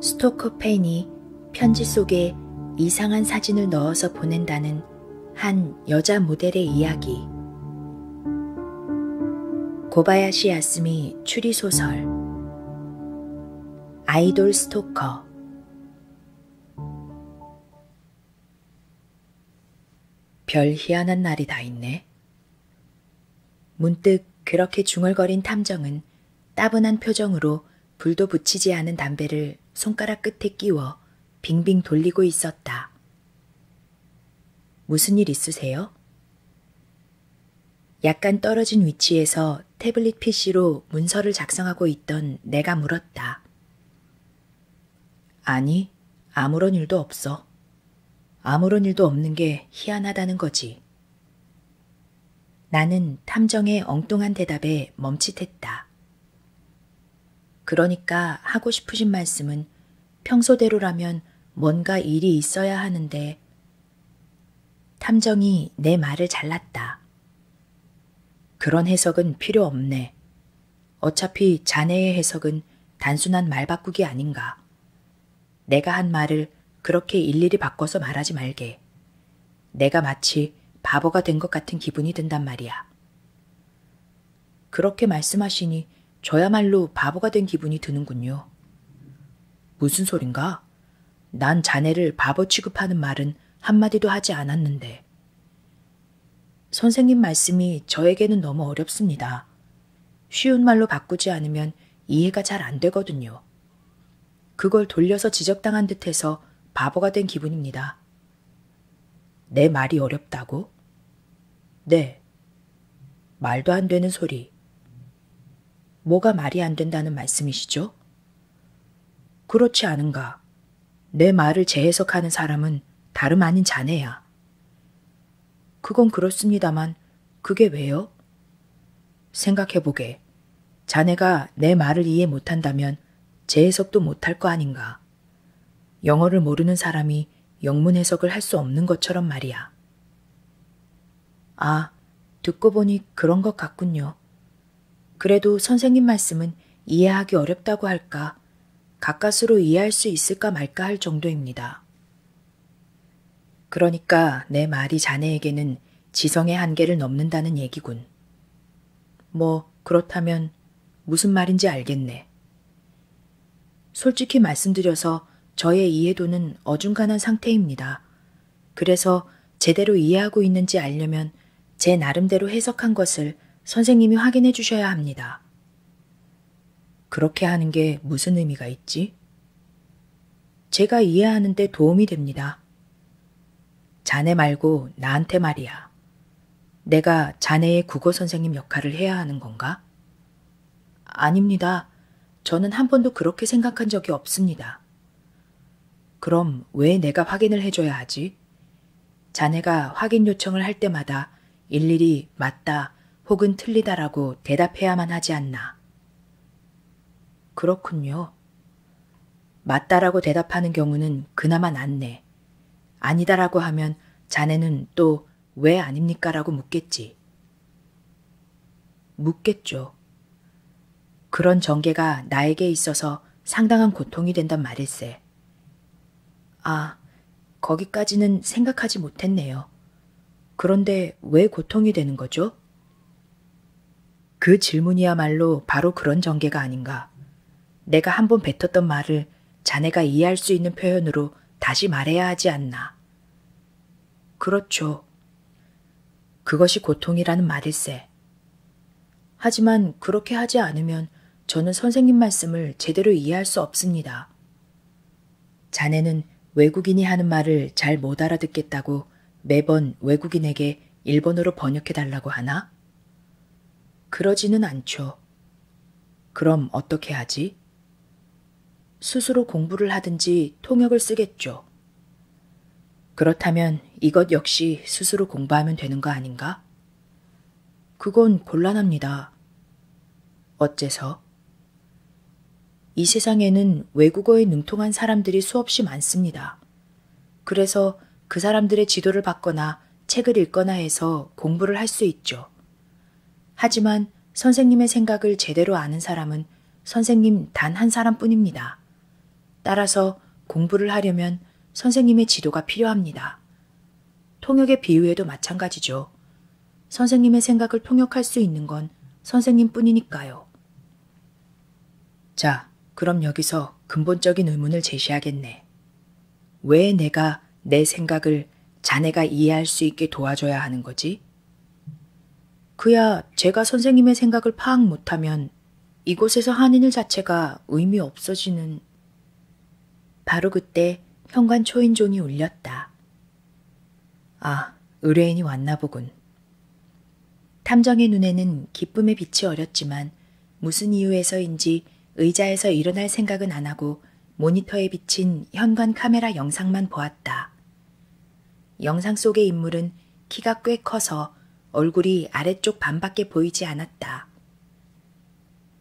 스토커 페인이 편지 속에 이상한 사진을 넣어서 보낸다는 한 여자 모델의 이야기. 고바야시 야스미 추리소설. 아이돌 스토커. 별 희한한 날이 다 있네. 문득 그렇게 중얼거린 탐정은 따분한 표정으로 불도 붙이지 않은 담배를 손가락 끝에 끼워 빙빙 돌리고 있었다. 무슨 일 있으세요? 약간 떨어진 위치에서 태블릿 PC로 문서를 작성하고 있던 내가 물었다. 아니, 아무런 일도 없어. 아무런 일도 없는 게 희한하다는 거지. 나는 탐정의 엉뚱한 대답에 멈칫했다. 그러니까 하고 싶으신 말씀은 평소대로라면 뭔가 일이 있어야 하는데 탐정이 내 말을 잘랐다. 그런 해석은 필요 없네. 어차피 자네의 해석은 단순한 말바꾸기 아닌가. 내가 한 말을 그렇게 일일이 바꿔서 말하지 말게. 내가 마치 바보가 된 것 같은 기분이 든단 말이야. 그렇게 말씀하시니 저야말로 바보가 된 기분이 드는군요. 무슨 소린가? 난 자네를 바보 취급하는 말은 한마디도 하지 않았는데. 선생님 말씀이 저에게는 너무 어렵습니다. 쉬운 말로 바꾸지 않으면 이해가 잘 안 되거든요. 그걸 돌려서 지적당한 듯해서 바보가 된 기분입니다. 내 말이 어렵다고? 네. 말도 안 되는 소리. 뭐가 말이 안 된다는 말씀이시죠? 그렇지 않은가. 내 말을 재해석하는 사람은 다름 아닌 자네야. 그건 그렇습니다만 그게 왜요? 생각해보게. 자네가 내 말을 이해 못한다면 제 해석도 못할 거 아닌가. 영어를 모르는 사람이 영문 해석을 할 수 없는 것처럼 말이야. 아, 듣고 보니 그런 것 같군요. 그래도 선생님 말씀은 이해하기 어렵다고 할까, 가까스로 이해할 수 있을까 말까 할 정도입니다. 그러니까 내 말이 자네에게는 지성의 한계를 넘는다는 얘기군. 뭐, 그렇다면 무슨 말인지 알겠네. 솔직히 말씀드려서 저의 이해도는 어중간한 상태입니다. 그래서 제대로 이해하고 있는지 알려면 제 나름대로 해석한 것을 선생님이 확인해 주셔야 합니다. 그렇게 하는 게 무슨 의미가 있지? 제가 이해하는데 도움이 됩니다. 자네 말고 나한테 말이야. 내가 자네의 국어 선생님 역할을 해야 하는 건가? 아닙니다. 저는 한 번도 그렇게 생각한 적이 없습니다. 그럼 왜 내가 확인을 해줘야 하지? 자네가 확인 요청을 할 때마다 일일이 맞다 혹은 틀리다라고 대답해야만 하지 않나. 그렇군요. 맞다라고 대답하는 경우는 그나마 낫네. 아니다라고 하면 자네는 또 왜 아닙니까? 라고 묻겠지. 묻겠죠. 그런 전개가 나에게 있어서 상당한 고통이 된단 말일세. 아, 거기까지는 생각하지 못했네요. 그런데 왜 고통이 되는 거죠? 그 질문이야말로 바로 그런 전개가 아닌가. 내가 한 번 뱉었던 말을 자네가 이해할 수 있는 표현으로 다시 말해야 하지 않나. 그렇죠. 그것이 고통이라는 말일세. 하지만 그렇게 하지 않으면 저는 선생님 말씀을 제대로 이해할 수 없습니다. 자네는 외국인이 하는 말을 잘 못 알아듣겠다고 매번 외국인에게 일본어로 번역해달라고 하나? 그러지는 않죠. 그럼 어떻게 하지? 스스로 공부를 하든지 통역을 쓰겠죠. 그렇다면 이것 역시 스스로 공부하면 되는 거 아닌가? 그건 곤란합니다. 어째서? 이 세상에는 외국어에 능통한 사람들이 수없이 많습니다. 그래서 그 사람들의 지도를 받거나 책을 읽거나 해서 공부를 할 수 있죠. 하지만 선생님의 생각을 제대로 아는 사람은 선생님 단 한 사람뿐입니다. 따라서 공부를 하려면 선생님의 지도가 필요합니다. 통역의 비유에도 마찬가지죠. 선생님의 생각을 통역할 수 있는 건 선생님뿐이니까요. 자, 그럼 여기서 근본적인 의문을 제시하겠네. 왜 내가 내 생각을 자네가 이해할 수 있게 도와줘야 하는 거지? 그야 제가 선생님의 생각을 파악 못하면 이곳에서 한인을 자체가 의미 없어지는 바로 그때 현관 초인종이 울렸다. 아, 의뢰인이 왔나 보군. 탐정의 눈에는 기쁨의 빛이 어렸지만 무슨 이유에서인지 의자에서 일어날 생각은 안 하고 모니터에 비친 현관 카메라 영상만 보았다. 영상 속의 인물은 키가 꽤 커서 얼굴이 아래쪽 반밖에 보이지 않았다.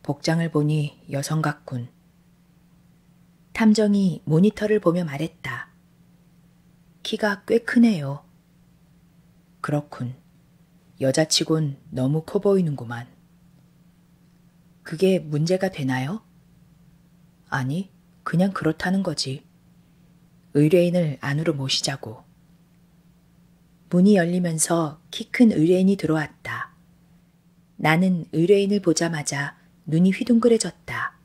복장을 보니 여성 같군. 탐정이 모니터를 보며 말했다. 키가 꽤 크네요. 그렇군. 여자치곤 너무 커 보이는구만. 그게 문제가 되나요? 아니, 그냥 그렇다는 거지. 의뢰인을 안으로 모시자고. 문이 열리면서 키 큰 의뢰인이 들어왔다. 나는 의뢰인을 보자마자 눈이 휘둥그레졌다.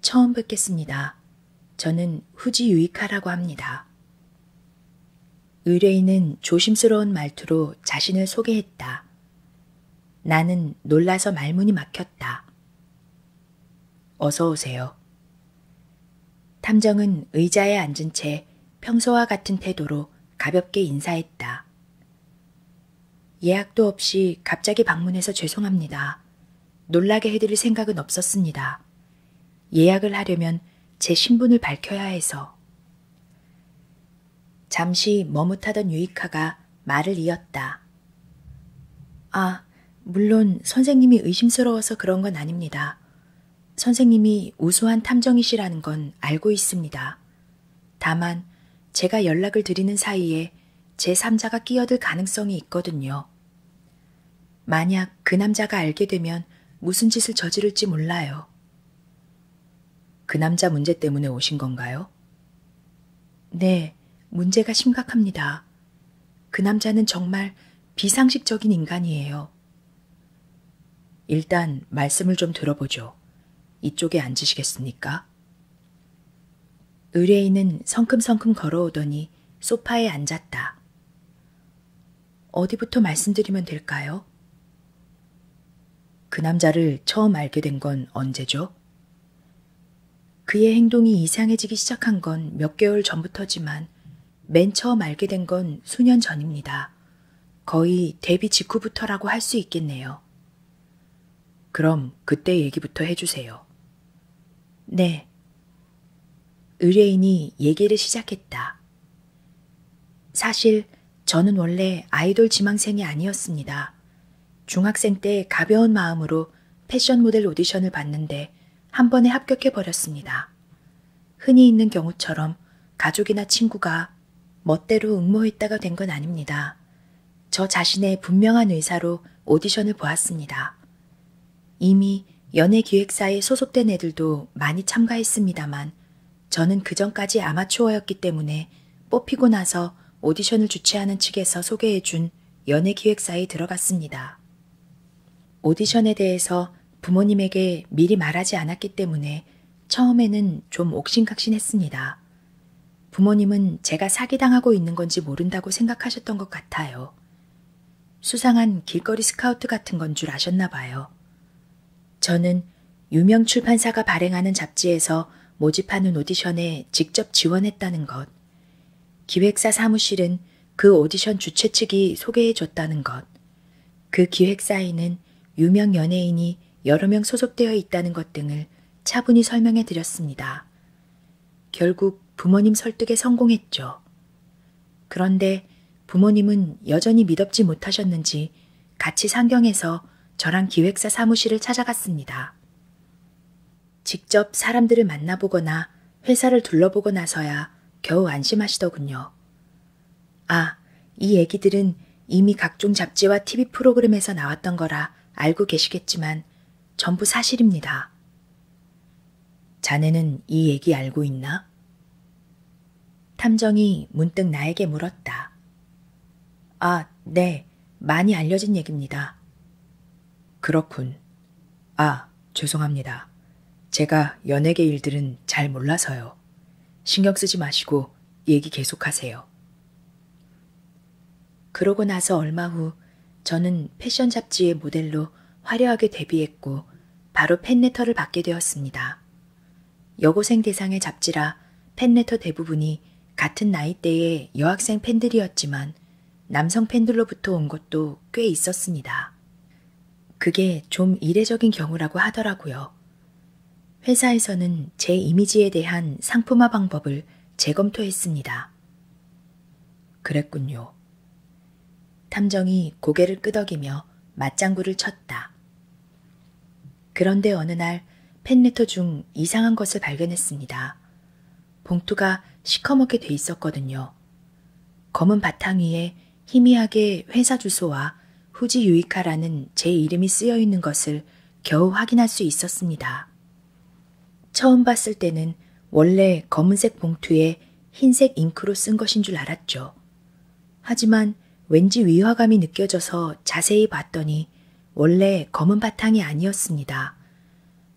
처음 뵙겠습니다. 저는 후지 유이카라고 합니다. 의뢰인은 조심스러운 말투로 자신을 소개했다. 나는 놀라서 말문이 막혔다. 어서 오세요. 탐정은 의자에 앉은 채 평소와 같은 태도로 가볍게 인사했다. 예약도 없이 갑자기 방문해서 죄송합니다. 놀라게 해드릴 생각은 없었습니다. 예약을 하려면 제 신분을 밝혀야 해서. 잠시 머뭇하던 유이카가 말을 이었다. 아, 물론 선생님이 의심스러워서 그런 건 아닙니다. 선생님이 우수한 탐정이시라는 건 알고 있습니다. 다만 제가 연락을 드리는 사이에 제3자가 끼어들 가능성이 있거든요. 만약 그 남자가 알게 되면 무슨 짓을 저지를지 몰라요. 그 남자 문제 때문에 오신 건가요? 네, 문제가 심각합니다. 그 남자는 정말 비상식적인 인간이에요. 일단 말씀을 좀 들어보죠. 이쪽에 앉으시겠습니까? 의뢰인은 성큼성큼 걸어오더니 소파에 앉았다. 어디부터 말씀드리면 될까요? 그 남자를 처음 알게 된 건 언제죠? 그의 행동이 이상해지기 시작한 건 몇 개월 전부터지만 맨 처음 알게 된 건 수년 전입니다. 거의 데뷔 직후부터라고 할 수 있겠네요. 그럼 그때 얘기부터 해주세요. 네. 의뢰인이 얘기를 시작했다. 사실 저는 원래 아이돌 지망생이 아니었습니다. 중학생 때 가벼운 마음으로 패션 모델 오디션을 봤는데 한 번에 합격해버렸습니다. 흔히 있는 경우처럼 가족이나 친구가 멋대로 응모했다가 된 건 아닙니다. 저 자신의 분명한 의사로 오디션을 보았습니다. 이미 연예기획사에 소속된 애들도 많이 참가했습니다만 저는 그전까지 아마추어였기 때문에 뽑히고 나서 오디션을 주최하는 측에서 소개해준 연예기획사에 들어갔습니다. 오디션에 대해서 부모님에게 미리 말하지 않았기 때문에 처음에는 좀 옥신각신했습니다. 부모님은 제가 사기당하고 있는 건지 모른다고 생각하셨던 것 같아요. 수상한 길거리 스카우트 같은 건 줄 아셨나 봐요. 저는 유명 출판사가 발행하는 잡지에서 모집하는 오디션에 직접 지원했다는 것, 기획사 사무실은 그 오디션 주최 측이 소개해 줬다는 것, 그 기획사에는 사업에는 유명 연예인이 여러 명 소속되어 있다는 것 등을 차분히 설명해 드렸습니다. 결국 부모님 설득에 성공했죠. 그런데 부모님은 여전히 믿업지 못하셨는지 같이 상경해서 저랑 기획사 사무실을 찾아갔습니다. 직접 사람들을 만나보거나 회사를 둘러보고 나서야 겨우 안심하시더군요. 아, 이 얘기들은 이미 각종 잡지와 TV 프로그램에서 나왔던 거라 알고 계시겠지만 전부 사실입니다. 자네는 이 얘기 알고 있나? 탐정이 문득 나에게 물었다. 아, 네. 많이 알려진 얘기입니다. 그렇군. 아, 죄송합니다. 제가 연예계 일들은 잘 몰라서요. 있어요. 신경 쓰지 마시고 얘기 계속하세요. 그러고 나서 얼마 후 저는 패션 잡지의 모델로 화려하게 데뷔했고 바로 팬레터를 받게 되었습니다. 여고생 대상의 잡지라 팬레터 대부분이 같은 나이대의 여학생 팬들이었지만 남성 팬들로부터 온 것도 꽤 있었습니다. 그게 좀 이례적인 경우라고 하더라고요. 회사에서는 제 이미지에 대한 상품화 방법을 재검토했습니다. 그랬군요. 탐정이 고개를 끄덕이며 맞장구를 쳤다. 그런데 어느 날 팬레터 중 이상한 것을 발견했습니다. 봉투가 시커멓게 돼 있었거든요. 검은 바탕 위에 희미하게 회사 주소와 후지 유이카라는 제 이름이 쓰여 있는 것을 겨우 확인할 수 있었습니다. 처음 봤을 때는 원래 검은색 봉투에 흰색 잉크로 쓴 것인 줄 알았죠. 하지만 왠지 위화감이 느껴져서 자세히 봤더니 원래 검은 바탕이 아니었습니다.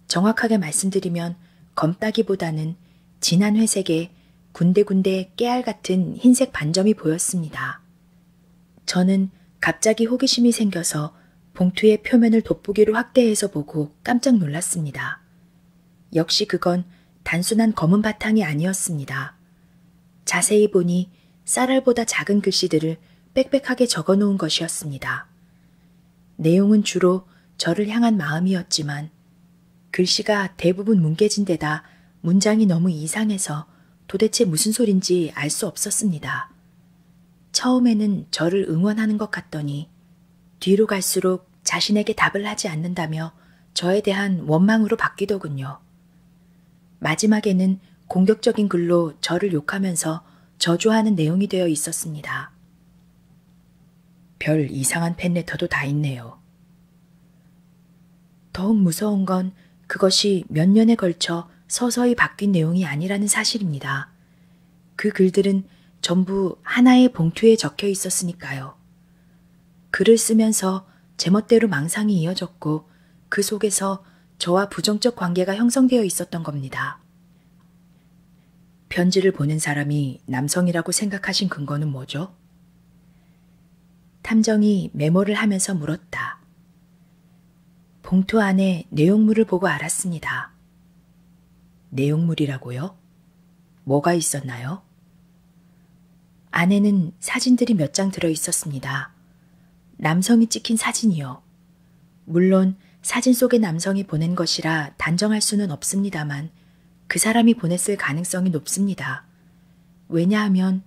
정확하게 말씀드리면 검따기보다는 진한 회색에 군데군데 깨알 같은 흰색 반점이 보였습니다. 저는 갑자기 호기심이 생겨서 봉투의 표면을 돋보기로 확대해서 보고 깜짝 놀랐습니다. 역시 그건 단순한 검은 바탕이 아니었습니다. 자세히 보니 쌀알보다 작은 글씨들을 빽빽하게 적어 놓은 것이었습니다. 내용은 주로 저를 향한 마음이었지만 글씨가 대부분 뭉개진 데다 문장이 너무 이상해서 도대체 무슨 소린지 알 수 없었습니다. 처음에는 저를 응원하는 것 같더니 뒤로 갈수록 자신에게 답을 하지 않는다며 저에 대한 원망으로 바뀌더군요. 마지막에는 공격적인 글로 저를 욕하면서 저주하는 내용이 되어 있었습니다. 별 이상한 팬레터도 다 있네요. 더욱 무서운 건 그것이 몇 년에 걸쳐 서서히 바뀐 내용이 아니라는 사실입니다. 그 글들은 전부 하나의 봉투에 적혀 있었으니까요. 글을 쓰면서 제멋대로 망상이 이어졌고 그 속에서 저와 부정적 관계가 형성되어 있었던 겁니다. 편지를 보낸 사람이 남성이라고 생각하신 근거는 뭐죠? 탐정이 메모를 하면서 물었다. 봉투 안에 내용물을 보고 알았습니다. 내용물이라고요? 뭐가 있었나요? 안에는 사진들이 몇 장 들어 있었습니다. 남성이 찍힌 사진이요. 물론 사진 속의 남성이 보낸 것이라 단정할 수는 없습니다만 그 사람이 보냈을 가능성이 높습니다. 왜냐하면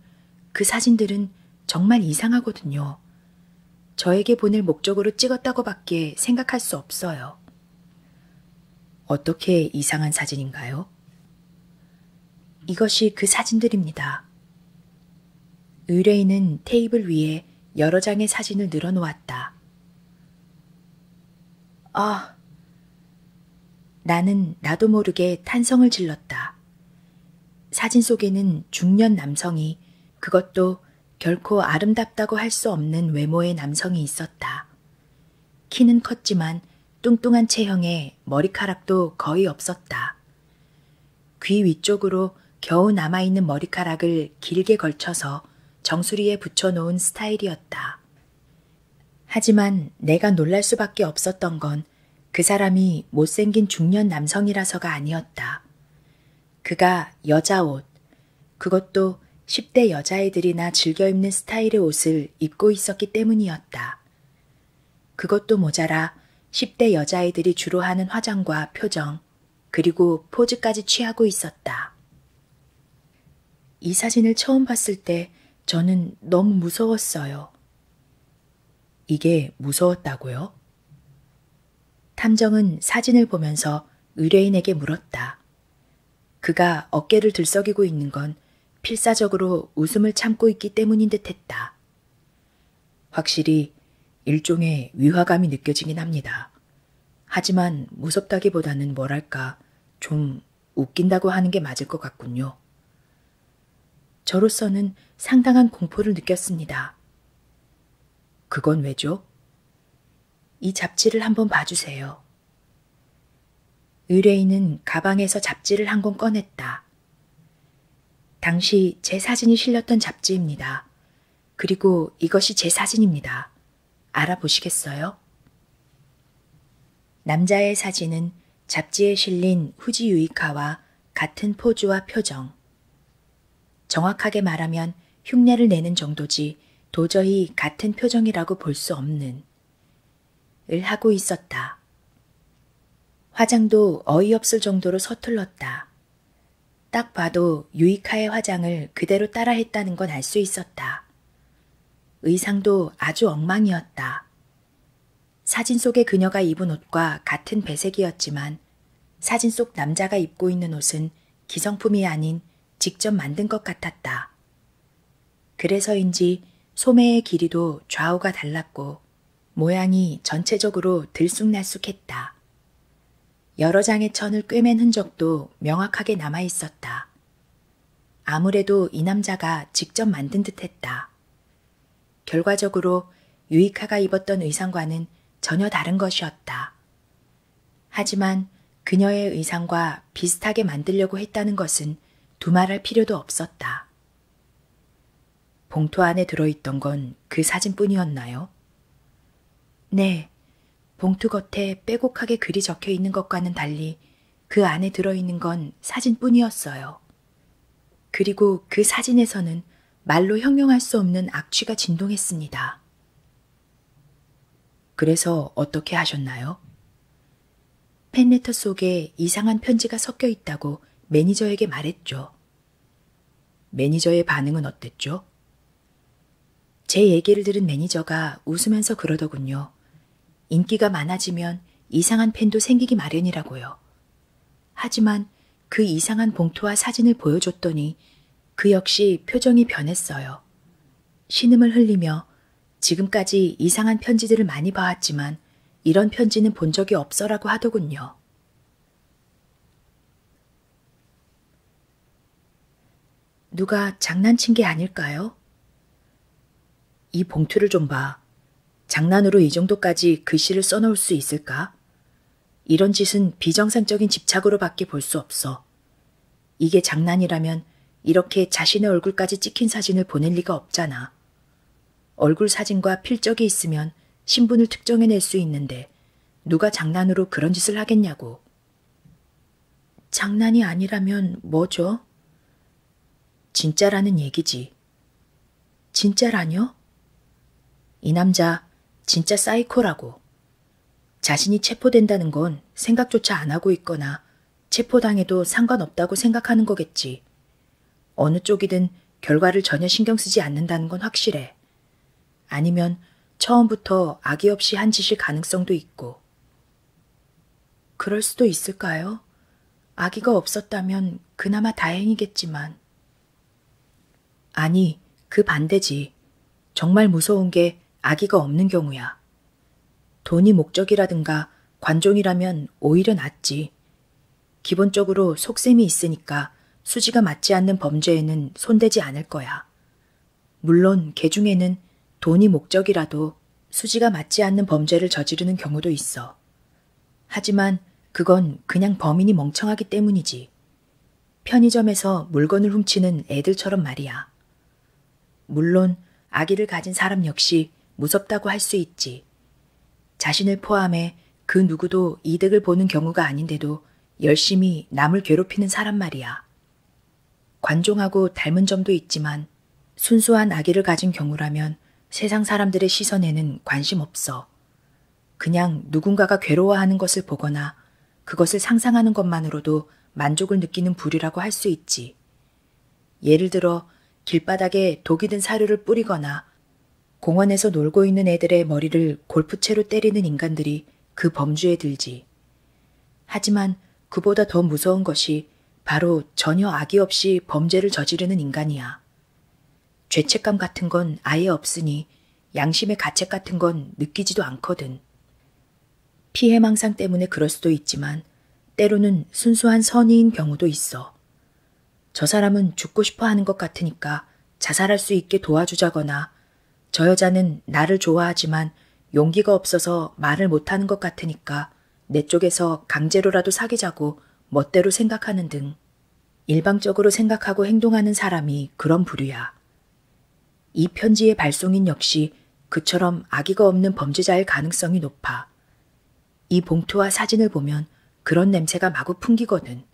그 사진들은 정말 이상하거든요. 저에게 보낼 목적으로 찍었다고밖에 생각할 수 없어요. 어떻게 이상한 사진인가요? 이것이 그 사진들입니다. 의뢰인은 테이블 위에 여러 장의 사진을 늘어놓았다. 아, 나는 나도 모르게 탄성을 질렀다. 사진 속에는 중년 남성이 그것도 결코 아름답다고 할 수 없는 외모의 남성이 있었다. 키는 컸지만 뚱뚱한 체형에 머리카락도 거의 없었다. 귀 위쪽으로 겨우 남아있는 머리카락을 길게 걸쳐서 정수리에 붙여놓은 스타일이었다. 하지만 내가 놀랄 수밖에 없었던 건그 사람이 못생긴 중년 남성이라서가 아니었다. 그가 여자 옷, 그것도 10대 여자애들이나 즐겨 입는 스타일의 옷을 입고 있었기 때문이었다. 그것도 모자라 10대 여자애들이 주로 하는 화장과 표정, 그리고 포즈까지 취하고 있었다. 이 사진을 처음 봤을 때 저는 너무 무서웠어요. 이게 무서웠다고요? 탐정은 사진을 보면서 의뢰인에게 물었다. 그가 어깨를 들썩이고 있는 건 필사적으로 웃음을 참고 있기 때문인 듯 했다. 확실히 일종의 위화감이 느껴지긴 합니다. 하지만 무섭다기보다는 뭐랄까 좀 웃긴다고 하는 게 맞을 것 같군요. 저로서는 상당한 공포를 느꼈습니다. 그건 왜죠? 이 잡지를 한번 봐주세요. 의뢰인은 가방에서 잡지를 한 권 꺼냈다. 당시 제 사진이 실렸던 잡지입니다. 그리고 이것이 제 사진입니다. 알아보시겠어요? 남자의 사진은 잡지에 실린 후지 유이카와 같은 포즈와 표정. 정확하게 말하면 흉내를 내는 정도지 도저히 같은 표정이라고 볼 수 없는. 을 하고 있었다. 화장도 어이없을 정도로 서툴렀다. 딱 봐도 유이카의 화장을 그대로 따라했다는 건 알 수 있었다. 의상도 아주 엉망이었다. 사진 속의 그녀가 입은 옷과 같은 배색이었지만 사진 속 남자가 입고 있는 옷은 기성품이 아닌 직접 만든 것 같았다. 그래서인지 소매의 길이도 좌우가 달랐고 모양이 전체적으로 들쑥날쑥했다. 여러 장의 천을 꿰맨 흔적도 명확하게 남아 있었다. 아무래도 이 남자가 직접 만든 듯 했다. 결과적으로 유이카가 입었던 의상과는 전혀 다른 것이었다. 하지만 그녀의 의상과 비슷하게 만들려고 했다는 것은 두말할 필요도 없었다. 봉투 안에 들어있던 건 그 사진뿐이었나요? 네, 봉투 겉에 빼곡하게 글이 적혀 있는 것과는 달리 그 안에 들어있는 건 사진뿐이었어요. 그리고 그 사진에서는 말로 형용할 수 없는 악취가 진동했습니다. 그래서 어떻게 하셨나요? 팬레터 속에 이상한 편지가 섞여 있다고 매니저에게 말했죠. 매니저의 반응은 어땠죠? 제 얘기를 들은 매니저가 웃으면서 그러더군요. 인기가 많아지면 이상한 팬도 생기기 마련이라고요. 하지만 그 이상한 봉투와 사진을 보여줬더니 그 역시 표정이 변했어요. 신음을 흘리며 지금까지 이상한 편지들을 많이 봐왔지만 이런 편지는 본 적이 없어라고 하더군요. 누가 장난친 게 아닐까요? 이 봉투를 좀 봐. 장난으로 이 정도까지 글씨를 써놓을 수 있을까? 이런 짓은 비정상적인 집착으로밖에 볼 수 없어. 이게 장난이라면 이렇게 자신의 얼굴까지 찍힌 사진을 보낼 리가 없잖아. 얼굴 사진과 필적이 있으면 신분을 특정해낼 수 있는데 누가 장난으로 그런 짓을 하겠냐고. 장난이 아니라면 뭐죠? 진짜라는 얘기지. 진짜라뇨? 이 남자 진짜 사이코라고. 자신이 체포된다는 건 생각조차 안 하고 있거나 체포당해도 상관없다고 생각하는 거겠지. 어느 쪽이든 결과를 전혀 신경 쓰지 않는다는 건 확실해. 아니면 처음부터 악의 없이 한 짓일 가능성도 있고. 그럴 수도 있을까요? 아기가 없었다면 그나마 다행이겠지만. 아니, 그 반대지. 정말 무서운 게 아기가 없는 경우야. 돈이 목적이라든가 관종이라면 오히려 낫지. 기본적으로 속셈이 있으니까 수지가 맞지 않는 범죄에는 손대지 않을 거야. 물론 개 중에는 돈이 목적이라도 수지가 맞지 않는 범죄를 저지르는 경우도 있어. 하지만 그건 그냥 범인이 멍청하기 때문이지. 편의점에서 물건을 훔치는 애들처럼 말이야. 물론 아기를 가진 사람 역시 무섭다고 할 수 있지. 자신을 포함해 그 누구도 이득을 보는 경우가 아닌데도 열심히 남을 괴롭히는 사람 말이야. 관종하고 닮은 점도 있지만 순수한 아기를 가진 경우라면 세상 사람들의 시선에는 관심 없어. 그냥 누군가가 괴로워하는 것을 보거나 그것을 상상하는 것만으로도 만족을 느끼는 부류라고 할 수 있지. 예를 들어 길바닥에 독이 든 사료를 뿌리거나 공원에서 놀고 있는 애들의 머리를 골프채로 때리는 인간들이 그 범주에 들지. 하지만 그보다 더 무서운 것이 바로 전혀 악의 없이 범죄를 저지르는 인간이야. 죄책감 같은 건 아예 없으니 양심의 가책 같은 건 느끼지도 않거든. 피해망상 때문에 그럴 수도 있지만 때로는 순수한 선의인 경우도 있어. 저 사람은 죽고 싶어 하는 것 같으니까 자살할 수 있게 도와주자거나 저 여자는 나를 좋아하지만 용기가 없어서 말을 못하는 것 같으니까 내 쪽에서 강제로라도 사귀자고 멋대로 생각하는 등 일방적으로 생각하고 행동하는 사람이 그런 부류야. 이 편지의 발송인 역시 그처럼 악의가 없는 범죄자일 가능성이 높아. 이 봉투와 사진을 보면 그런 냄새가 마구 풍기거든.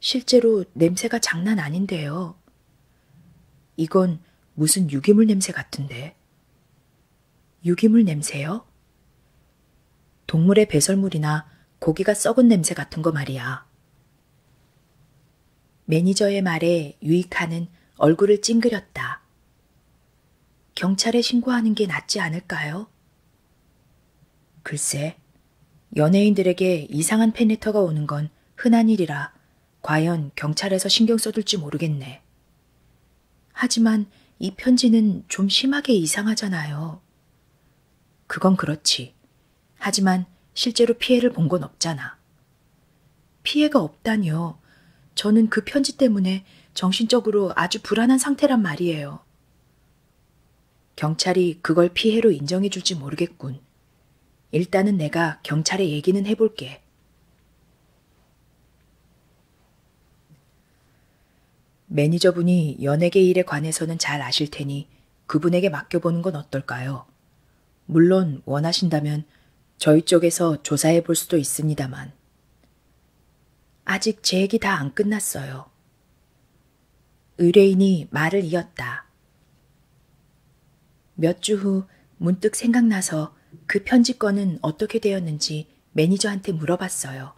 실제로 냄새가 장난 아닌데요. 이건 무슨 유기물 냄새 같은데. 유기물 냄새요? 동물의 배설물이나 고기가 썩은 냄새 같은 거 말이야. 매니저의 말에 유익하는 얼굴을 찡그렸다. 경찰에 신고하는 게 낫지 않을까요? 글쎄, 연예인들에게 이상한 팬레터가 오는 건 흔한 일이라 과연 경찰에서 신경 써둘지 모르겠네. 하지만 이 편지는 좀 심하게 이상하잖아요. 그건 그렇지. 하지만 실제로 피해를 본 건 없잖아. 피해가 없다니요. 저는 그 편지 때문에 정신적으로 아주 불안한 상태란 말이에요. 경찰이 그걸 피해로 인정해 줄지 모르겠군. 일단은 내가 경찰에 얘기는 해볼게. 매니저분이 연예계 일에 관해서는 잘 아실 테니 그분에게 맡겨보는 건 어떨까요? 물론 원하신다면 저희 쪽에서 조사해 볼 수도 있습니다만. 아직 제 얘기 다 안 끝났어요. 의뢰인이 말을 이었다. 몇 주 후 문득 생각나서 그 편집건은 어떻게 되었는지 있는지 매니저한테 물어봤어요.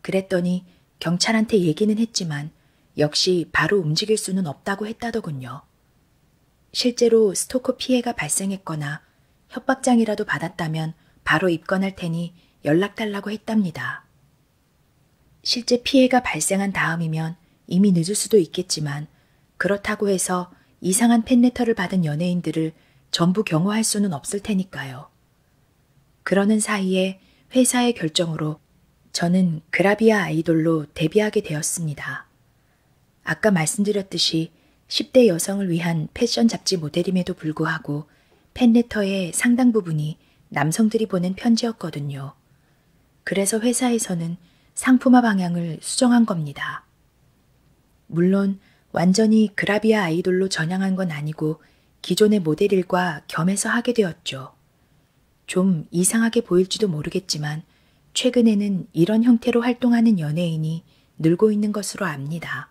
그랬더니 경찰한테 얘기는 했지만 역시 바로 움직일 수는 없다고 했다더군요. 실제로 스토커 피해가 발생했거나 협박장이라도 받았다면 바로 입건할 테니 연락달라고 했답니다. 실제 피해가 발생한 다음이면 이미 늦을 수도 있겠지만 그렇다고 해서 이상한 팬레터를 받은 연예인들을 전부 경호할 수는 없을 테니까요. 그러는 사이에 회사의 결정으로 저는 그라비아 아이돌로 데뷔하게 되었습니다. 아까 말씀드렸듯이 10대 여성을 위한 패션 잡지 모델임에도 불구하고 팬레터의 상당 부분이 남성들이 보낸 편지였거든요. 그래서 회사에서는 상품화 방향을 수정한 겁니다. 물론 완전히 그라비아 아이돌로 전향한 건 아니고 기존의 모델 일과 겸해서 하게 되었죠. 좀 이상하게 보일지도 모르겠지만 최근에는 이런 형태로 활동하는 연예인이 늘고 있는 것으로 압니다.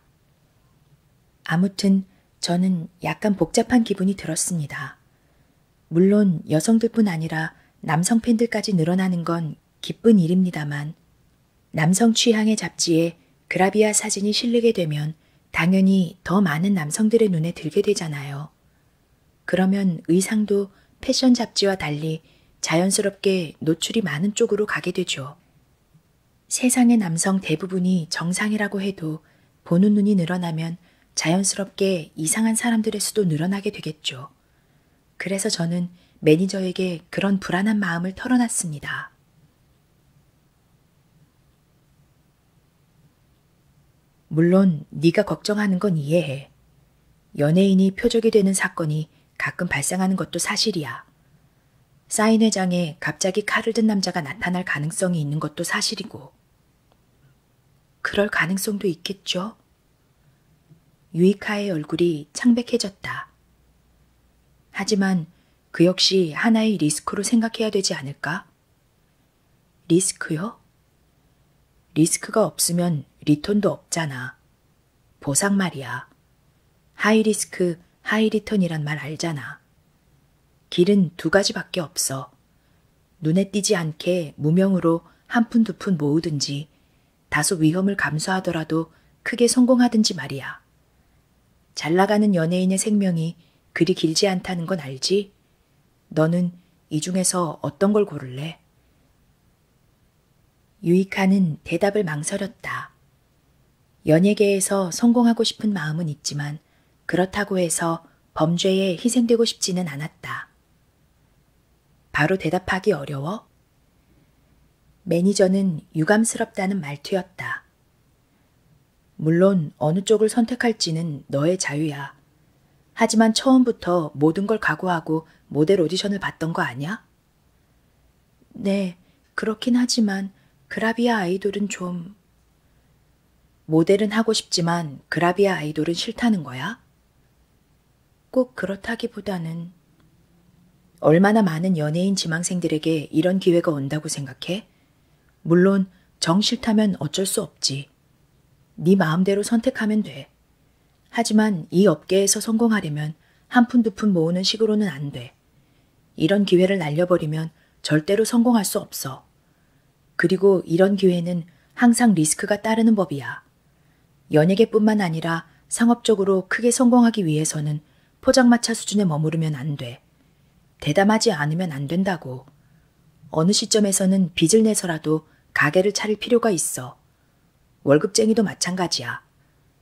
아무튼 저는 약간 복잡한 기분이 들었습니다. 물론 여성들뿐 아니라 남성 팬들까지 늘어나는 건 기쁜 일입니다만 남성 취향의 잡지에 그라비아 사진이 실리게 되면 당연히 더 많은 남성들의 눈에 들게 되잖아요. 그러면 의상도 패션 잡지와 달리 자연스럽게 노출이 많은 쪽으로 가게 되죠. 세상의 남성 대부분이 정상이라고 해도 보는 눈이 늘어나면 자연스럽게 이상한 사람들의 수도 늘어나게 되겠죠. 그래서 저는 매니저에게 그런 불안한 마음을 털어놨습니다. 물론 네가 걱정하는 건 이해해. 연예인이 표적이 되는 사건이 가끔 발생하는 것도 사실이야. 사인회장에 갑자기 칼을 든 남자가 나타날 가능성이 있는 것도 사실이고. 그럴 가능성도 있겠죠? 유이카의 얼굴이 창백해졌다. 하지만 그 역시 하나의 리스크로 생각해야 되지 않을까? 리스크요? 리스크가 없으면 리턴도 없잖아. 보상 말이야. 하이 리스크, 하이 리턴이란 말 알잖아. 길은 두 가지밖에 없어. 눈에 띄지 않게 무명으로 한 푼 두 푼 모으든지 다소 위험을 감수하더라도 크게 성공하든지 말이야. 잘 나가는 연예인의 생명이 그리 길지 않다는 건 알지? 너는 이 중에서 어떤 걸 고를래? 유이카는 대답을 망설였다. 연예계에서 성공하고 싶은 마음은 있지만 그렇다고 해서 범죄에 희생되고 싶지는 않았다. 바로 대답하기 어려워? 매니저는 유감스럽다는 말투였다. 물론 어느 쪽을 선택할지는 너의 자유야. 하지만 처음부터 모든 걸 각오하고 모델 오디션을 봤던 거 아냐? 네, 그렇긴 하지만 그라비아 아이돌은 좀... 모델은 하고 싶지만 그라비아 아이돌은 싫다는 거야? 꼭 그렇다기보다는 얼마나 많은 연예인 지망생들에게 이런 기회가 온다고 생각해? 물론 정 싫다면 어쩔 수 없지. 네 마음대로 선택하면 돼. 하지만 이 업계에서 성공하려면 한 푼 두 푼 모으는 식으로는 안 돼. 이런 기회를 날려버리면 절대로 성공할 수 없어. 그리고 이런 기회는 항상 리스크가 따르는 법이야. 연예계뿐만 아니라 상업적으로 크게 성공하기 위해서는 포장마차 수준에 머무르면 안 돼. 대담하지 않으면 안 된다고. 어느 시점에서는 빚을 내서라도 가게를 차릴 필요가 있어. 월급쟁이도 마찬가지야.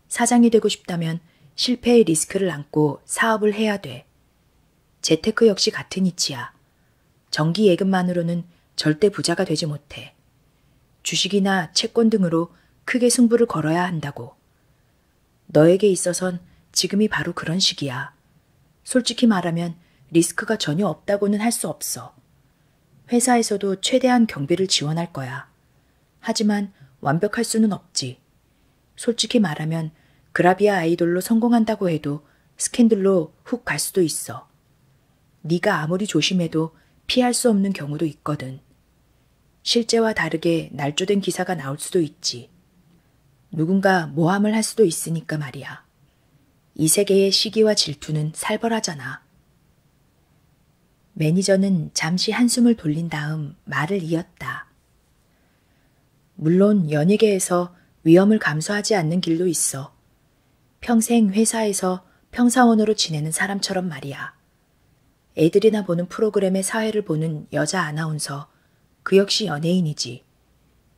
사장이 되고 싶다면 실패의 리스크를 안고 사업을 해야 돼. 재테크 역시 같은 이치야. 정기 예금만으로는 절대 부자가 되지 못해. 주식이나 채권 등으로 크게 승부를 걸어야 한다고. 너에게 있어선 지금이 바로 그런 시기야. 솔직히 말하면 리스크가 전혀 없다고는 할 수 없어. 회사에서도 최대한 경비를 지원할 거야. 하지만 완벽할 수는 없지. 솔직히 말하면 그라비아 아이돌로 성공한다고 해도 스캔들로 훅 갈 수도 있어. 네가 아무리 조심해도 피할 수 없는 경우도 있거든. 실제와 다르게 날조된 기사가 나올 수도 있지. 누군가 모함을 할 수도 있으니까 말이야. 이 세계의 시기와 질투는 살벌하잖아. 매니저는 잠시 한숨을 돌린 다음 말을 이었다. 물론 연예계에서 위험을 감수하지 않는 길도 있어. 평생 회사에서 평사원으로 지내는 사람처럼 말이야. 애들이나 보는 프로그램의 사회를 보는 여자 아나운서, 그 역시 연예인이지.